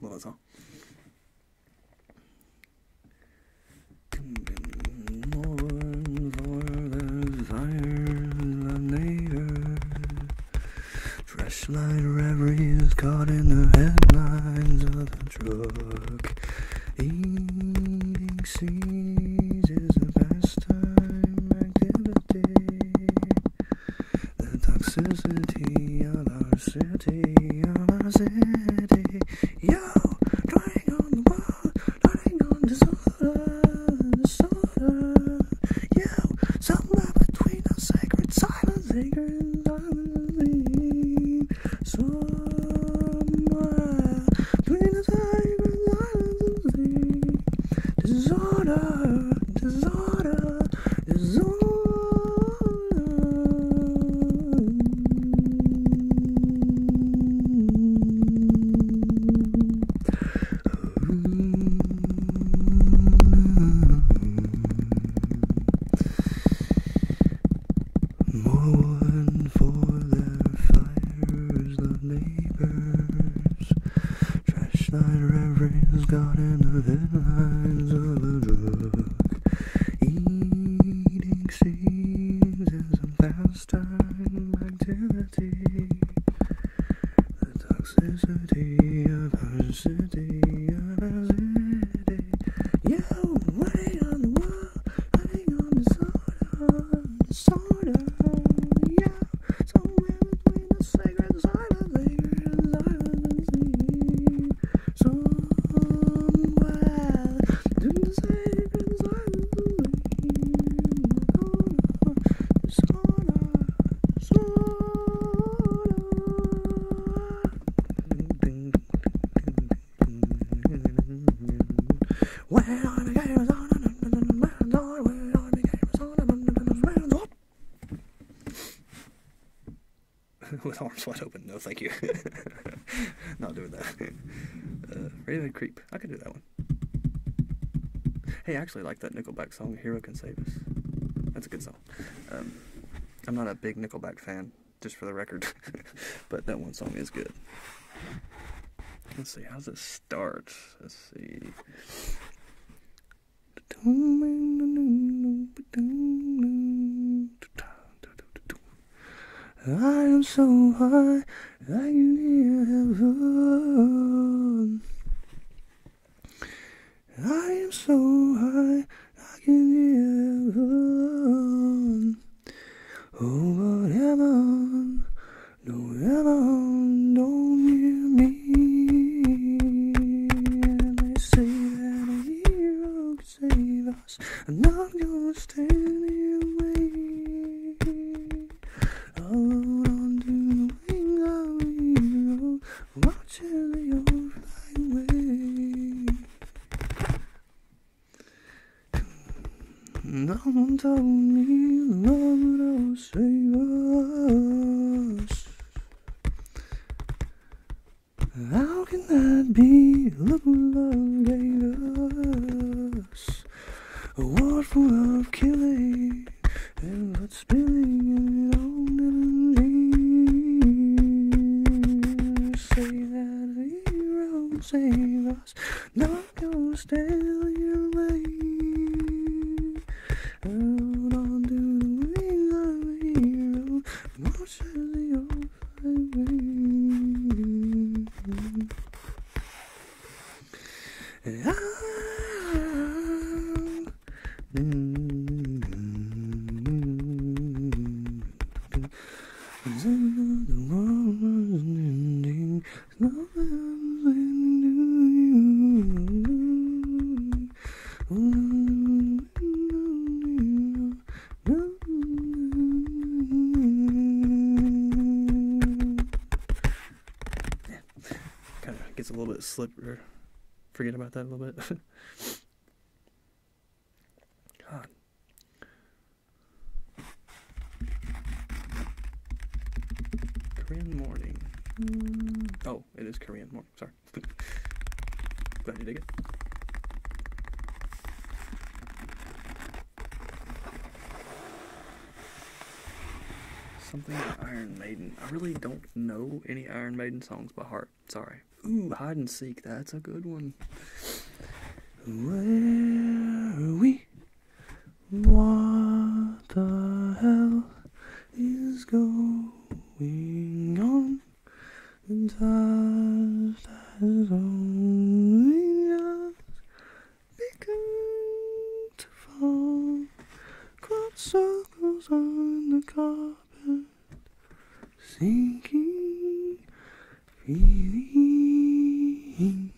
Love that song. Mourn for the desires reveries caught in the headlines of the drug. Eating is a pastime activity. The toxicity of our city, of our city. Yo, drawing on the wall, drawing on disorder, disorder. Yo, somewhere between the sacred silence, sacred silence. Somewhere between the sacred silence, disorder, disorder, disorder. Mourn for their fires, the neighbors. Trash night got into the headlines the drug. Eating seeds is a pastime activity. The toxicity of our city, of our city. Yo, writing on the wall, writing on the soda, the somewhere between the sacred side of the silence somewhere in the safe and silent this corner, this corner. When I became a son, when I became a son, with arms wide open. No, thank you. Not doing that. Uh, Raven Creep. I could do that one. Hey, I actually like that Nickelback song, Hero Can Save Us. That's a good song. Um, I'm not a big Nickelback fan, just for the record, but that one song is good. Let's see, How does it start? Let's see. I am so high, I can hear heaven. I am so high, I can hear heaven. Oh but heaven, no heaven, don't hear me. they say that a hero save us. I'm not gonna stand here waiting. Alone under the wing of you, watching the old flying No one told me love would save us. How can that be? Love, love gave us a war full of killing and blood spilling and it all never Say that hero save us, not gonna steal your lane. Out onto the a hero, to the my way. I, Cause I know the world ending. There's nothing to you kind of gets a little bit slippery. Forget about that a little bit. Korean morning. Mm, oh, it is Korean morning. Sorry. Something Iron Maiden. I really don't know any Iron Maiden songs by heart. Sorry. Ooh, hide and seek. That's a good one. Where are we? What the hell is going on? Just as only just begun to fall, caught circles on the carpet, sinking, feeling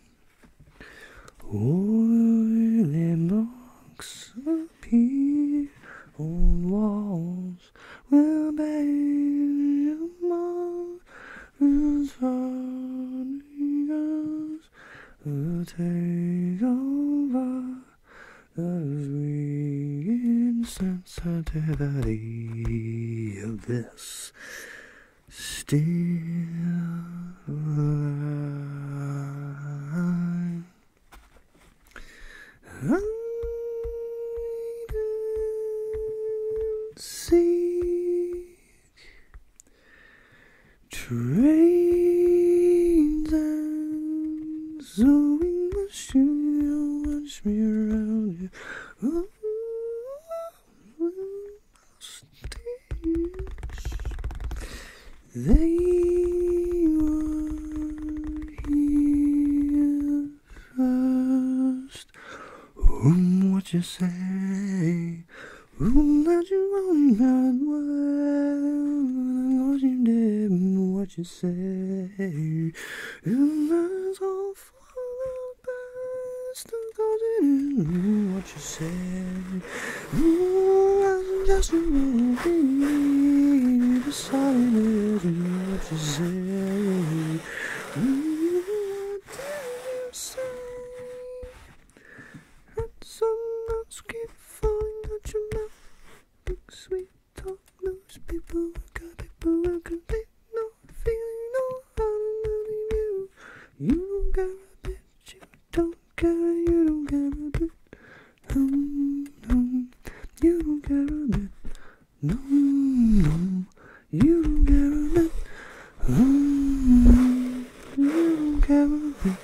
oily marks appear on walls we will bear you mountains falling girls will take over we sweet insensitivity of this still line. I seek trains and sewing machine. You watch me around you. Oh, they were here trust. Um, what you say? Um, that you only meant well. What you did, what you say. And that's all for the best. Cause it is what you say. Um, that's just what you did silent and what you say. Mm, what do you say? Had some nuts keep falling out your mouth. Big sweet talk, most people got people I can be no feeling no harder than you. You don't care a bit, you don't care, you don't care a bit. Um, um, you don't care a bit. No, no, you don't care about oh, no, you don't care about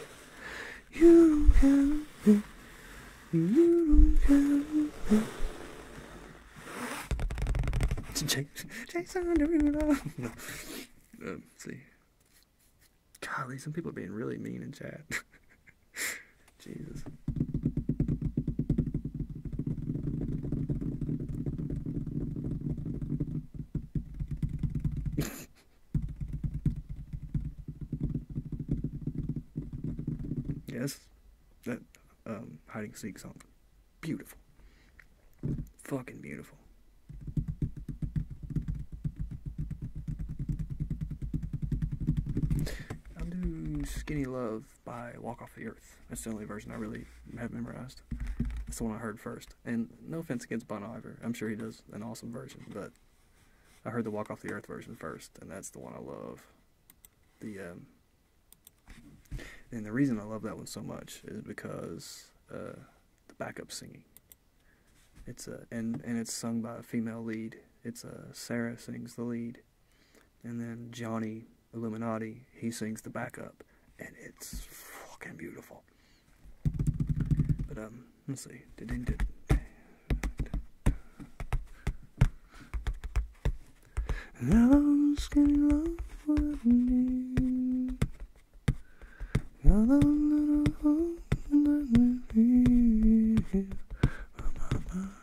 You don't care about You don't care about Jason, doing it up. No. Um, see. Golly, some people are being really mean in chat. Jesus. yes, that um, hide and seek song, beautiful, fucking beautiful. I'll do skinny love by Walk Off the Earth. That's the only version I really have memorized. That's the one I heard first. And no offense against Bon Iver, I'm sure he does an awesome version, but I heard the Walk Off the Earth version first, and that's the one I love. The um, and the reason I love that one so much is because uh, the backup singing. It's a and and it's sung by a female lead. It's a uh, Sarah sings the lead, and then Johnny Illuminati, he sings the backup, and it's fucking beautiful. But, um, let's see.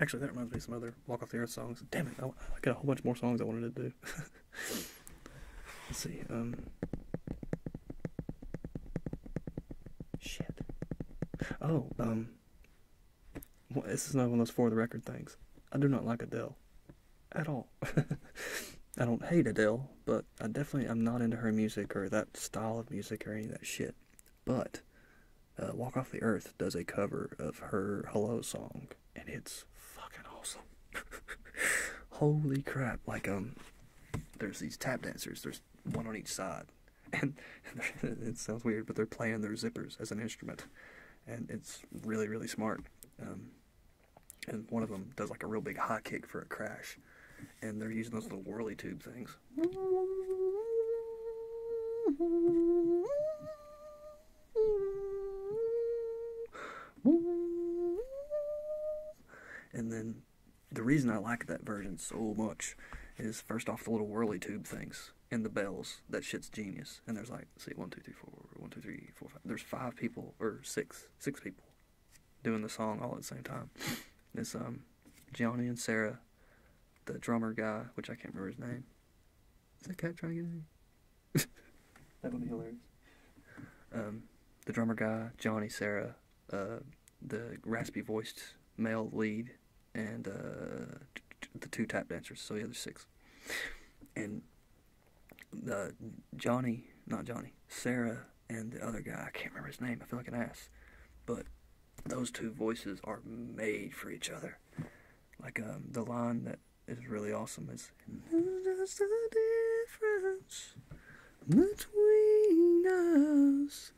Actually, that reminds me of some other Walk Off the Earth songs. Damn it, I, got a whole bunch more songs I wanted to do. Let's see. Um, shit. Oh, um, this is not one of those for the record things. I do not like Adele at all. I don't hate Adele, but I definitely am not into her music or that style of music or any of that shit. But uh, Walk Off the Earth does a cover of her Hello song, and it's fucking awesome. Holy crap! Like um, there's these tap dancers. There's one on each side, and it sounds weird, but they're playing their zippers as an instrument, and it's really really smart. Um, and one of them does like a real big high kick for a crash. And they're using those little whirly tube things. And then the reason I like that version so much is first off the little whirly tube things and the bells. That shit's genius. And there's like see, one, two, three, four, one, two, three, four, five. There's five people or six, six people doing the song all at the same time. It's um, Johnny and Sarah, the drummer guy, which I can't remember his name. Is that cat trying to get in? that would be hilarious. Um, the drummer guy, Johnny, Sarah, uh, the raspy voiced male lead, and uh, the two tap dancers. So yeah, there's six. And uh, Johnny, not Johnny, Sarah and the other guy. I can't remember his name. I feel like an ass. But those two voices are made for each other. Like um, the line that is really awesome is "That's the difference between us.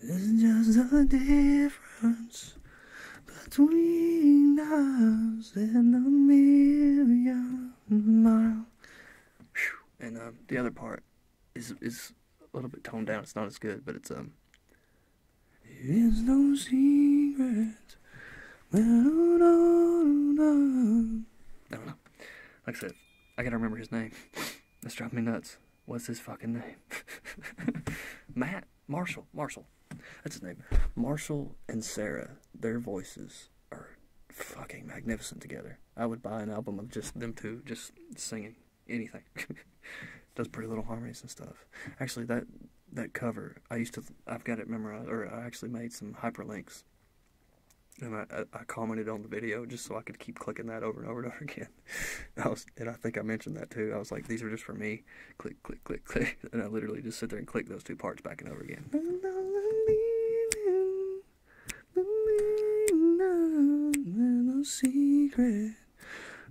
It's just a difference between us and a million miles. And um, the other part is is a little bit toned down. It's not as good, but it's um. It is no secret. I don't know. Like I said, I gotta remember his name. That's driving me nuts. What's his fucking name? Matt Marshall. Marshall. That's his name. Marshall and Sarah. Their voices are fucking magnificent together. I would buy an album of just them two, just singing anything. Does pretty little harmonies and stuff. Actually, that that cover, I used to. I've got it memorized, or I actually made some hyperlinks, and I, I, commented on the video just so I could keep clicking that over and over and over again. I was, and I think I mentioned that too. I was like, these are just for me click, click, click, click. And I literally just sit there and click those two parts back and over again. No secret.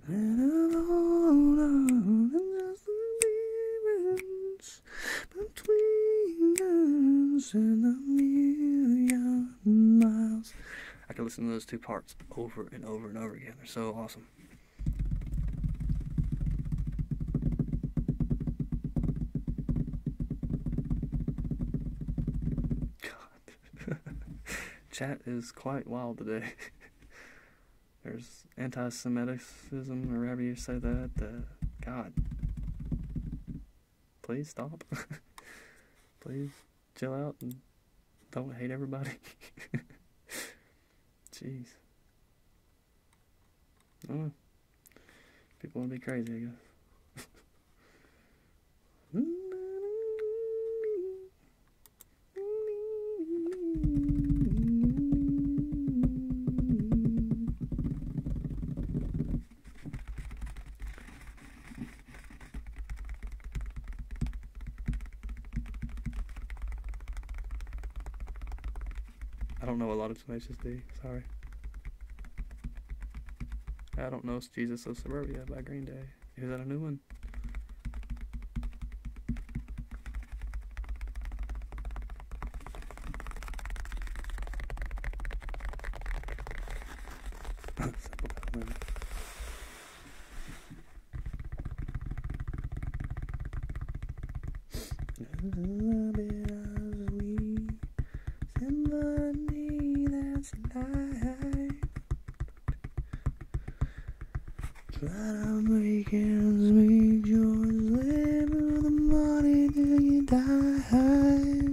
And all of the difference between us and a million miles. I can listen to those two parts over and over and over again. They're so awesome. God. Chat is quite wild today. There's anti semitism wherever you say that. God. Please stop. Please chill out and don't hate everybody. Jeez. Oh, people want to be crazy, I guess. I don't know a lot of Tenacious D, sorry. I don't know Jesus of Suburbia by Green Day. Is that a new one? Love it as we somebody that's alive. Try to make ends meet, yours live with the money till you die.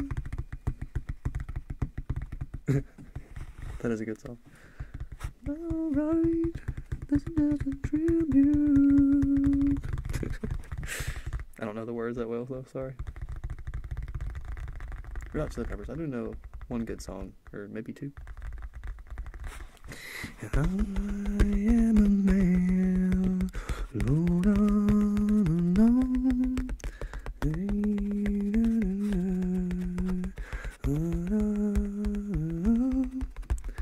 that is a good song. Alright. This doesn't tribute. I don't know the words that well, though. Sorry. Red Hot Chili Peppers. I do know one good song, or maybe two.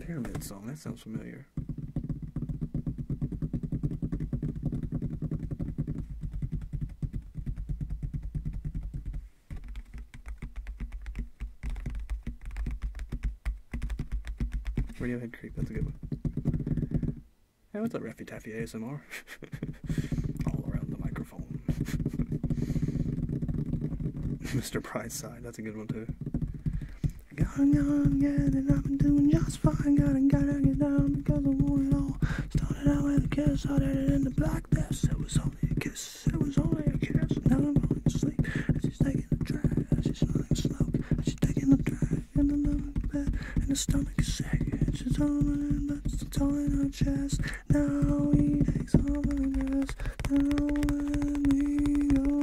Pyramid song, that sounds familiar. Radiohead Creek, that's a good one. Hey, what's up, Raffy Taffy ASMR? All around the microphone. Mr. Brightside, that's a good one too was fine, got and got to get down because I want it all. Started out with a kiss, started it in the black death. It was only a kiss, it was only a kiss. Now I'm falling asleep, and she's taking a drag, and she's smelling smoke, and she's taking a drag, and I'm and the stomach is sick, and she's all in but she's all in her chest. Now he takes all the dress, now let me go.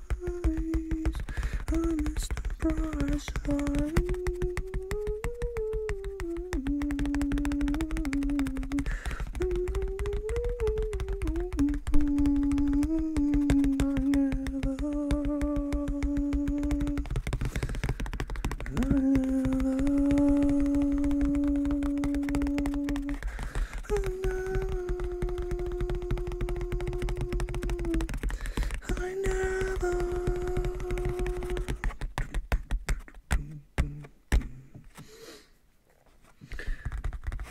stories. I'm Mr. Brightside. I never, I never I never.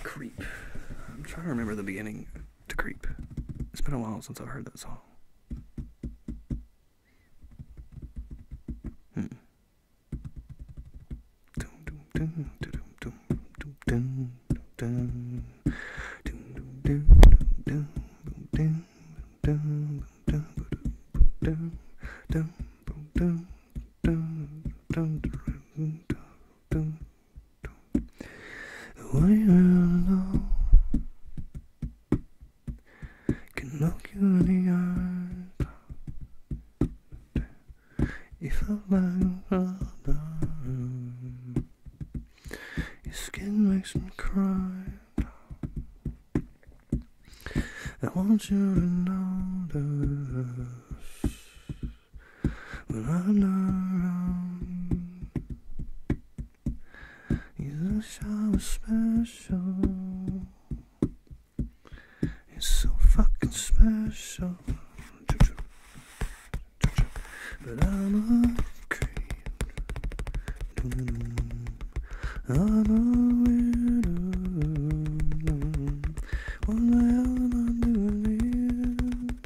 Creep. I'm trying to remember the beginning to Creep. It's been a while since I've heard that song. Hmm. Way alone can look you in the eye. If I like your skin makes me cry. I want you to notice when I'm not around. You're the shower special. It's so fucking special. But I'm okay. I'm a widow. What the hell am I doing here?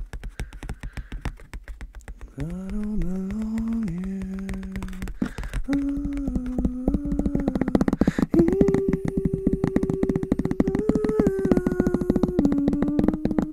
I don't belong here. Oh,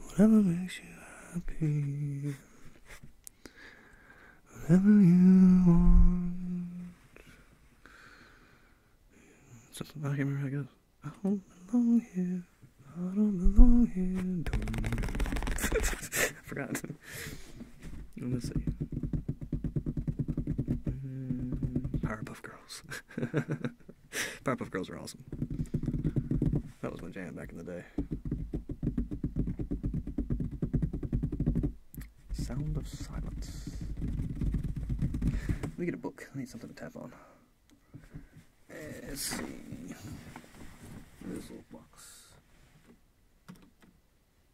Whatever makes you happy. Whatever you want. I can't remember how it goes. I don't belong here. I don't belong here. forgot. Let's see. Mm, Powerpuff Pop Powerpuff Girls are awesome. That was my jam back in the day. Sound of Silence. Let me get a book. I need something to tap on. Eh, let's see. Rizzle box.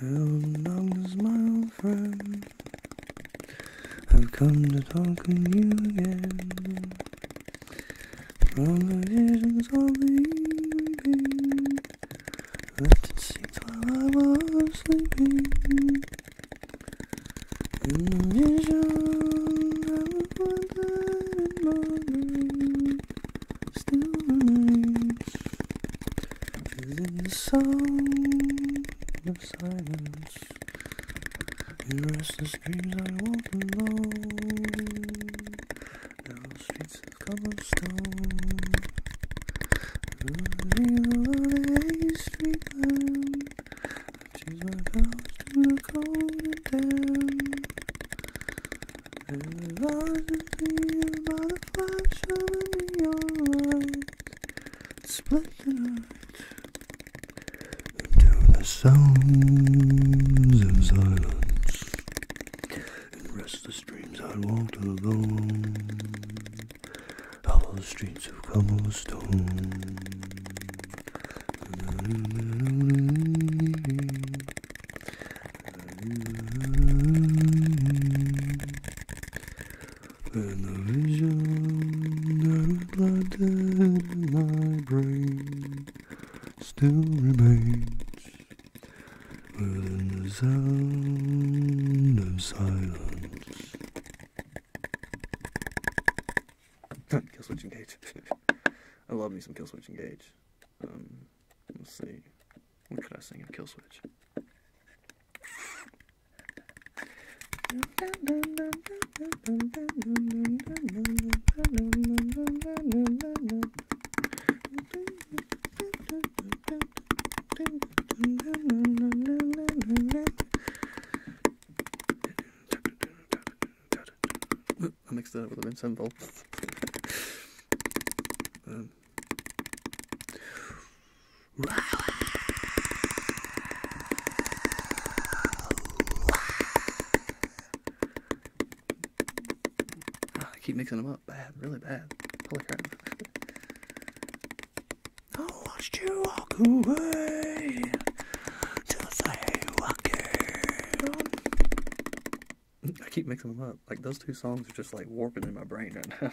How long does my old friend I've come to talk with you again From the visions of the evening Left its seats while I was sleeping the and sound of silence. In restless dreams I walk alone. Now streets of cobblestone. Running on a street lamp. She's my house to the cold and damp. And I just feel by the flash of a neon light. Split the night into the sounds and silence. And restless dreams I walked alone. the streets of cobblestone. And the vision that I planted in my brain still remains within the sound of silence. Kill switch engage. I love me some Killswitch Engage. Um, let's see. What could I sing of Killswitch? I mixed it up with the Vince volt. keep mixing them up bad, really bad. Holy I watched you walk away. I keep mixing them up. Like those two songs are just like warping in my brain right now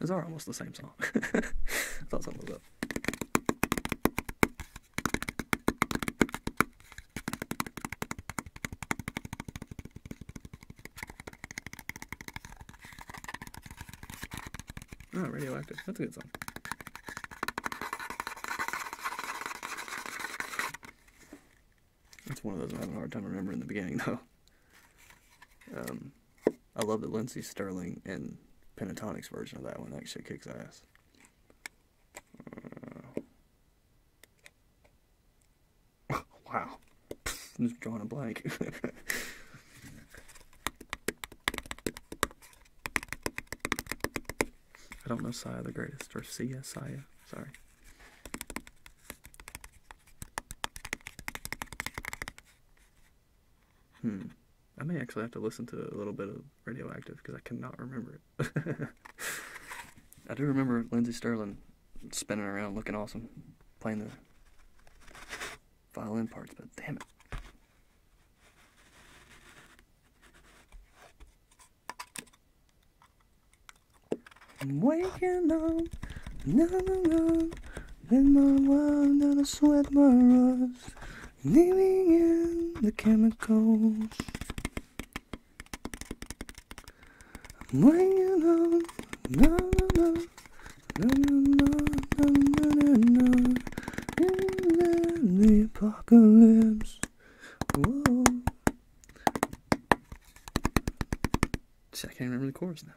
Those are almost the same song? That's something was up. Oh, radioactive. That's a good song. That's one of those I'm having a hard time remembering the beginning, though. Um, I love the Lindsey Sterling and Pentatonix version of that one. That shit kicks ass. Uh, wow. i just drawing blank. I don't know Saya the Greatest or Sia Sorry. Hmm. I may actually have to listen to a little bit of Radioactive because I cannot remember it. I do remember Lindsey Sterling spinning around looking awesome, playing the violin parts, but damn it. I'm waking up, na na na, in my world that I sweat my rust, living in the chemicals. I'm waking up, na na na, na na na, na na na, in the apocalypse. Whoa. See, I can't remember the chorus now.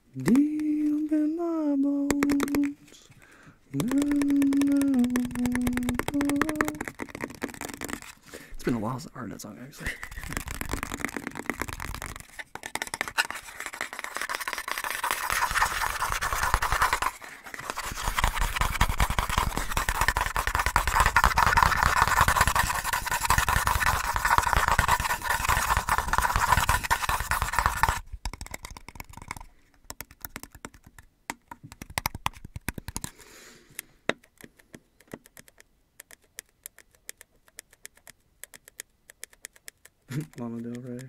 Deep in my bones. It's been a while since I heard that song, actually. Lana Del Rey.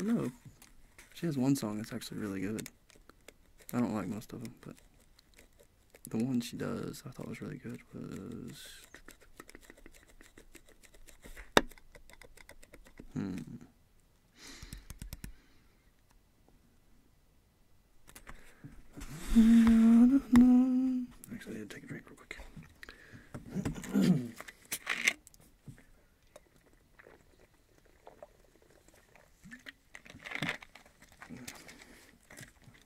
I know. She has one song that's actually really good. I don't like most of them, but the one she does I thought was really good was Hmm. Actually, I had to take a drink real quick.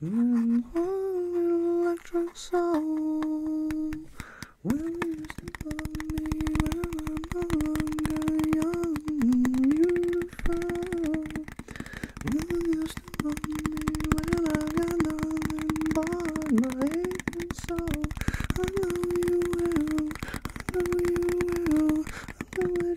In one electric soul, will you sleep on me when I'm no longer young, beautiful? Will you on me when I got nothing but my aching soul? I know you will, I know you will, I know you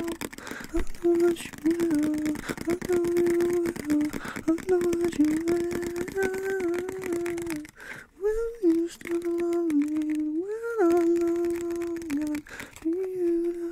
I know that you will. I know you will. I know that you Will you still love me when I'm no longer beautiful?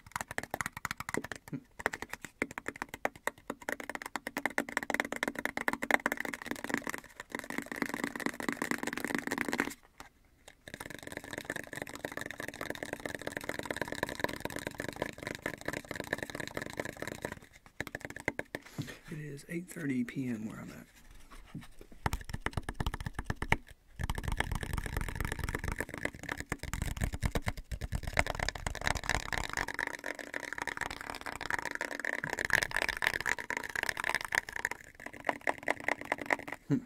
It is 8:30 p.m. where I'm at. Hmm.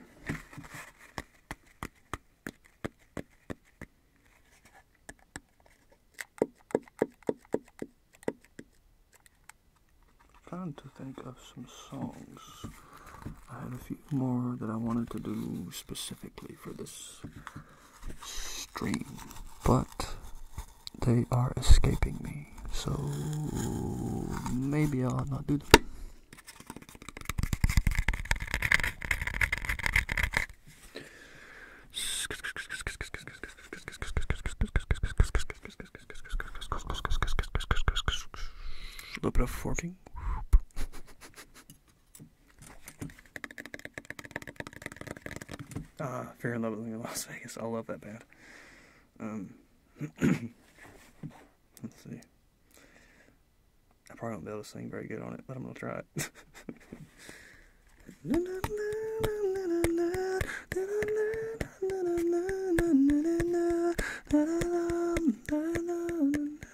Fun to think some songs. I had a few more that I wanted to do specifically for this stream, but they are escaping me, so maybe I'll not do them. A little bit of forking ah, Fear and Loathing in Las Vegas. I love that band. Um, let's see. I probably won't be able to sing very good on it, but I'm gonna try it.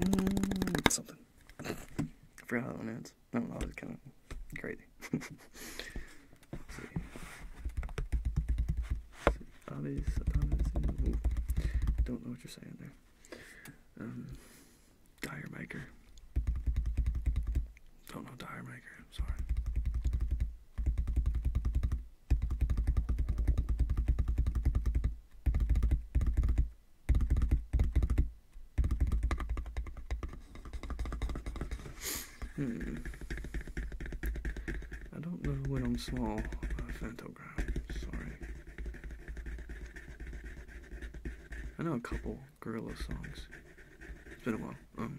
Mm, something. I forgot how that one ends. I don't know, it's kind of crazy. Don't know what you're saying there. Um, maker. Don't know dire maker. I'm sorry. Hmm. I don't know when I'm small uh, Sorry. I know a couple gorilla songs. It's been a while. Um.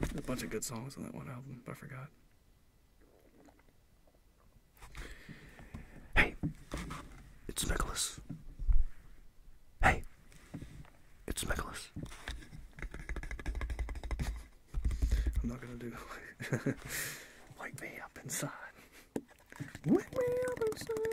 There's a bunch of good songs on that one album, but I forgot. Hey, it's Nicholas. Hey, it's Nicholas. I'm not gonna do wake me up inside. Wake me up inside.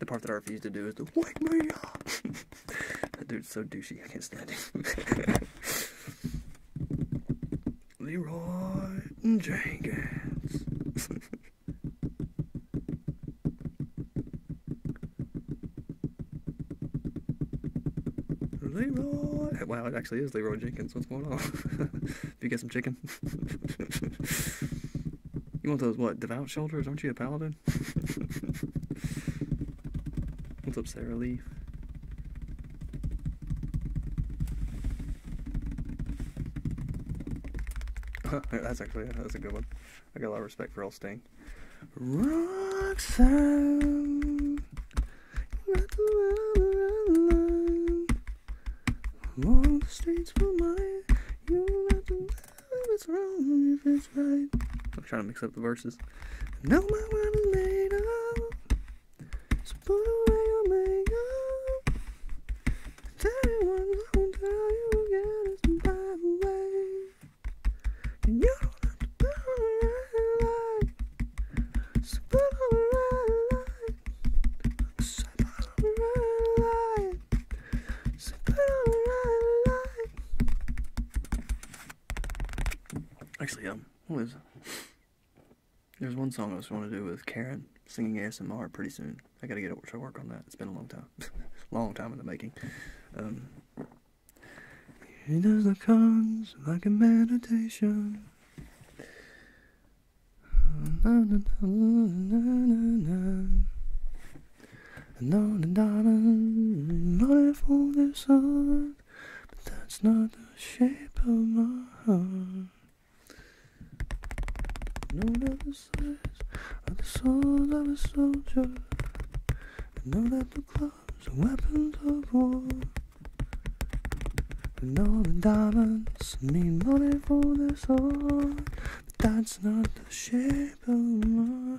The part that I refuse to do is to wake me up. that dude's so douchey, I can't stand him. Leroy Jenkins. Leroy. Wow, it actually is Leroy Jenkins. What's going on? Did you get some chicken? you want those, what, devout shoulders? Aren't you a paladin? What's up, Sarah Lee? that's actually that's a good one. I got a lot of respect for old Sting. Roxanne. Along the streets for my you not to if it's wrong, if it's right. I'm trying to mix up the verses. No matter my mind is made up. So put away your makeup. Tell everyone don't tell you again it's a bad And you don't have to put on Actually, um, there's one song I was going to do with Karen singing ASMR pretty soon. I gotta get to work on that. It's been a long time, long time in the making. Um, he does the cons like a meditation. Another dollar, not for this heart, but that's not the shape of my heart. No other size of the soul of a soldier. I know that the clock and weapons of war. And all the diamonds mean money for the sword, but that's not the shape of my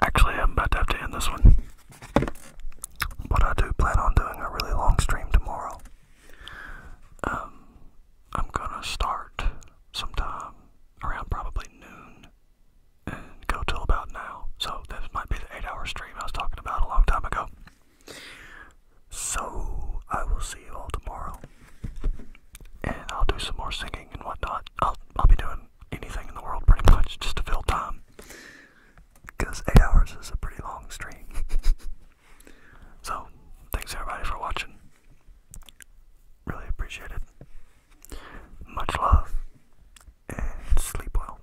Actually, I'm about to have to end this one. But I do plan on doing a really long stream tomorrow. Um, I'm gonna start sometime around probably noon and go till about now. So, this might be the 8 hour stream I was talking about a long time ago. So I will see you all tomorrow. And I'll do some more singing and whatnot. I'll I'll be doing anything in the world pretty much just to fill time. Because eight hours is a pretty long stream. so thanks everybody for watching. Really appreciate it. Much love and sleep well.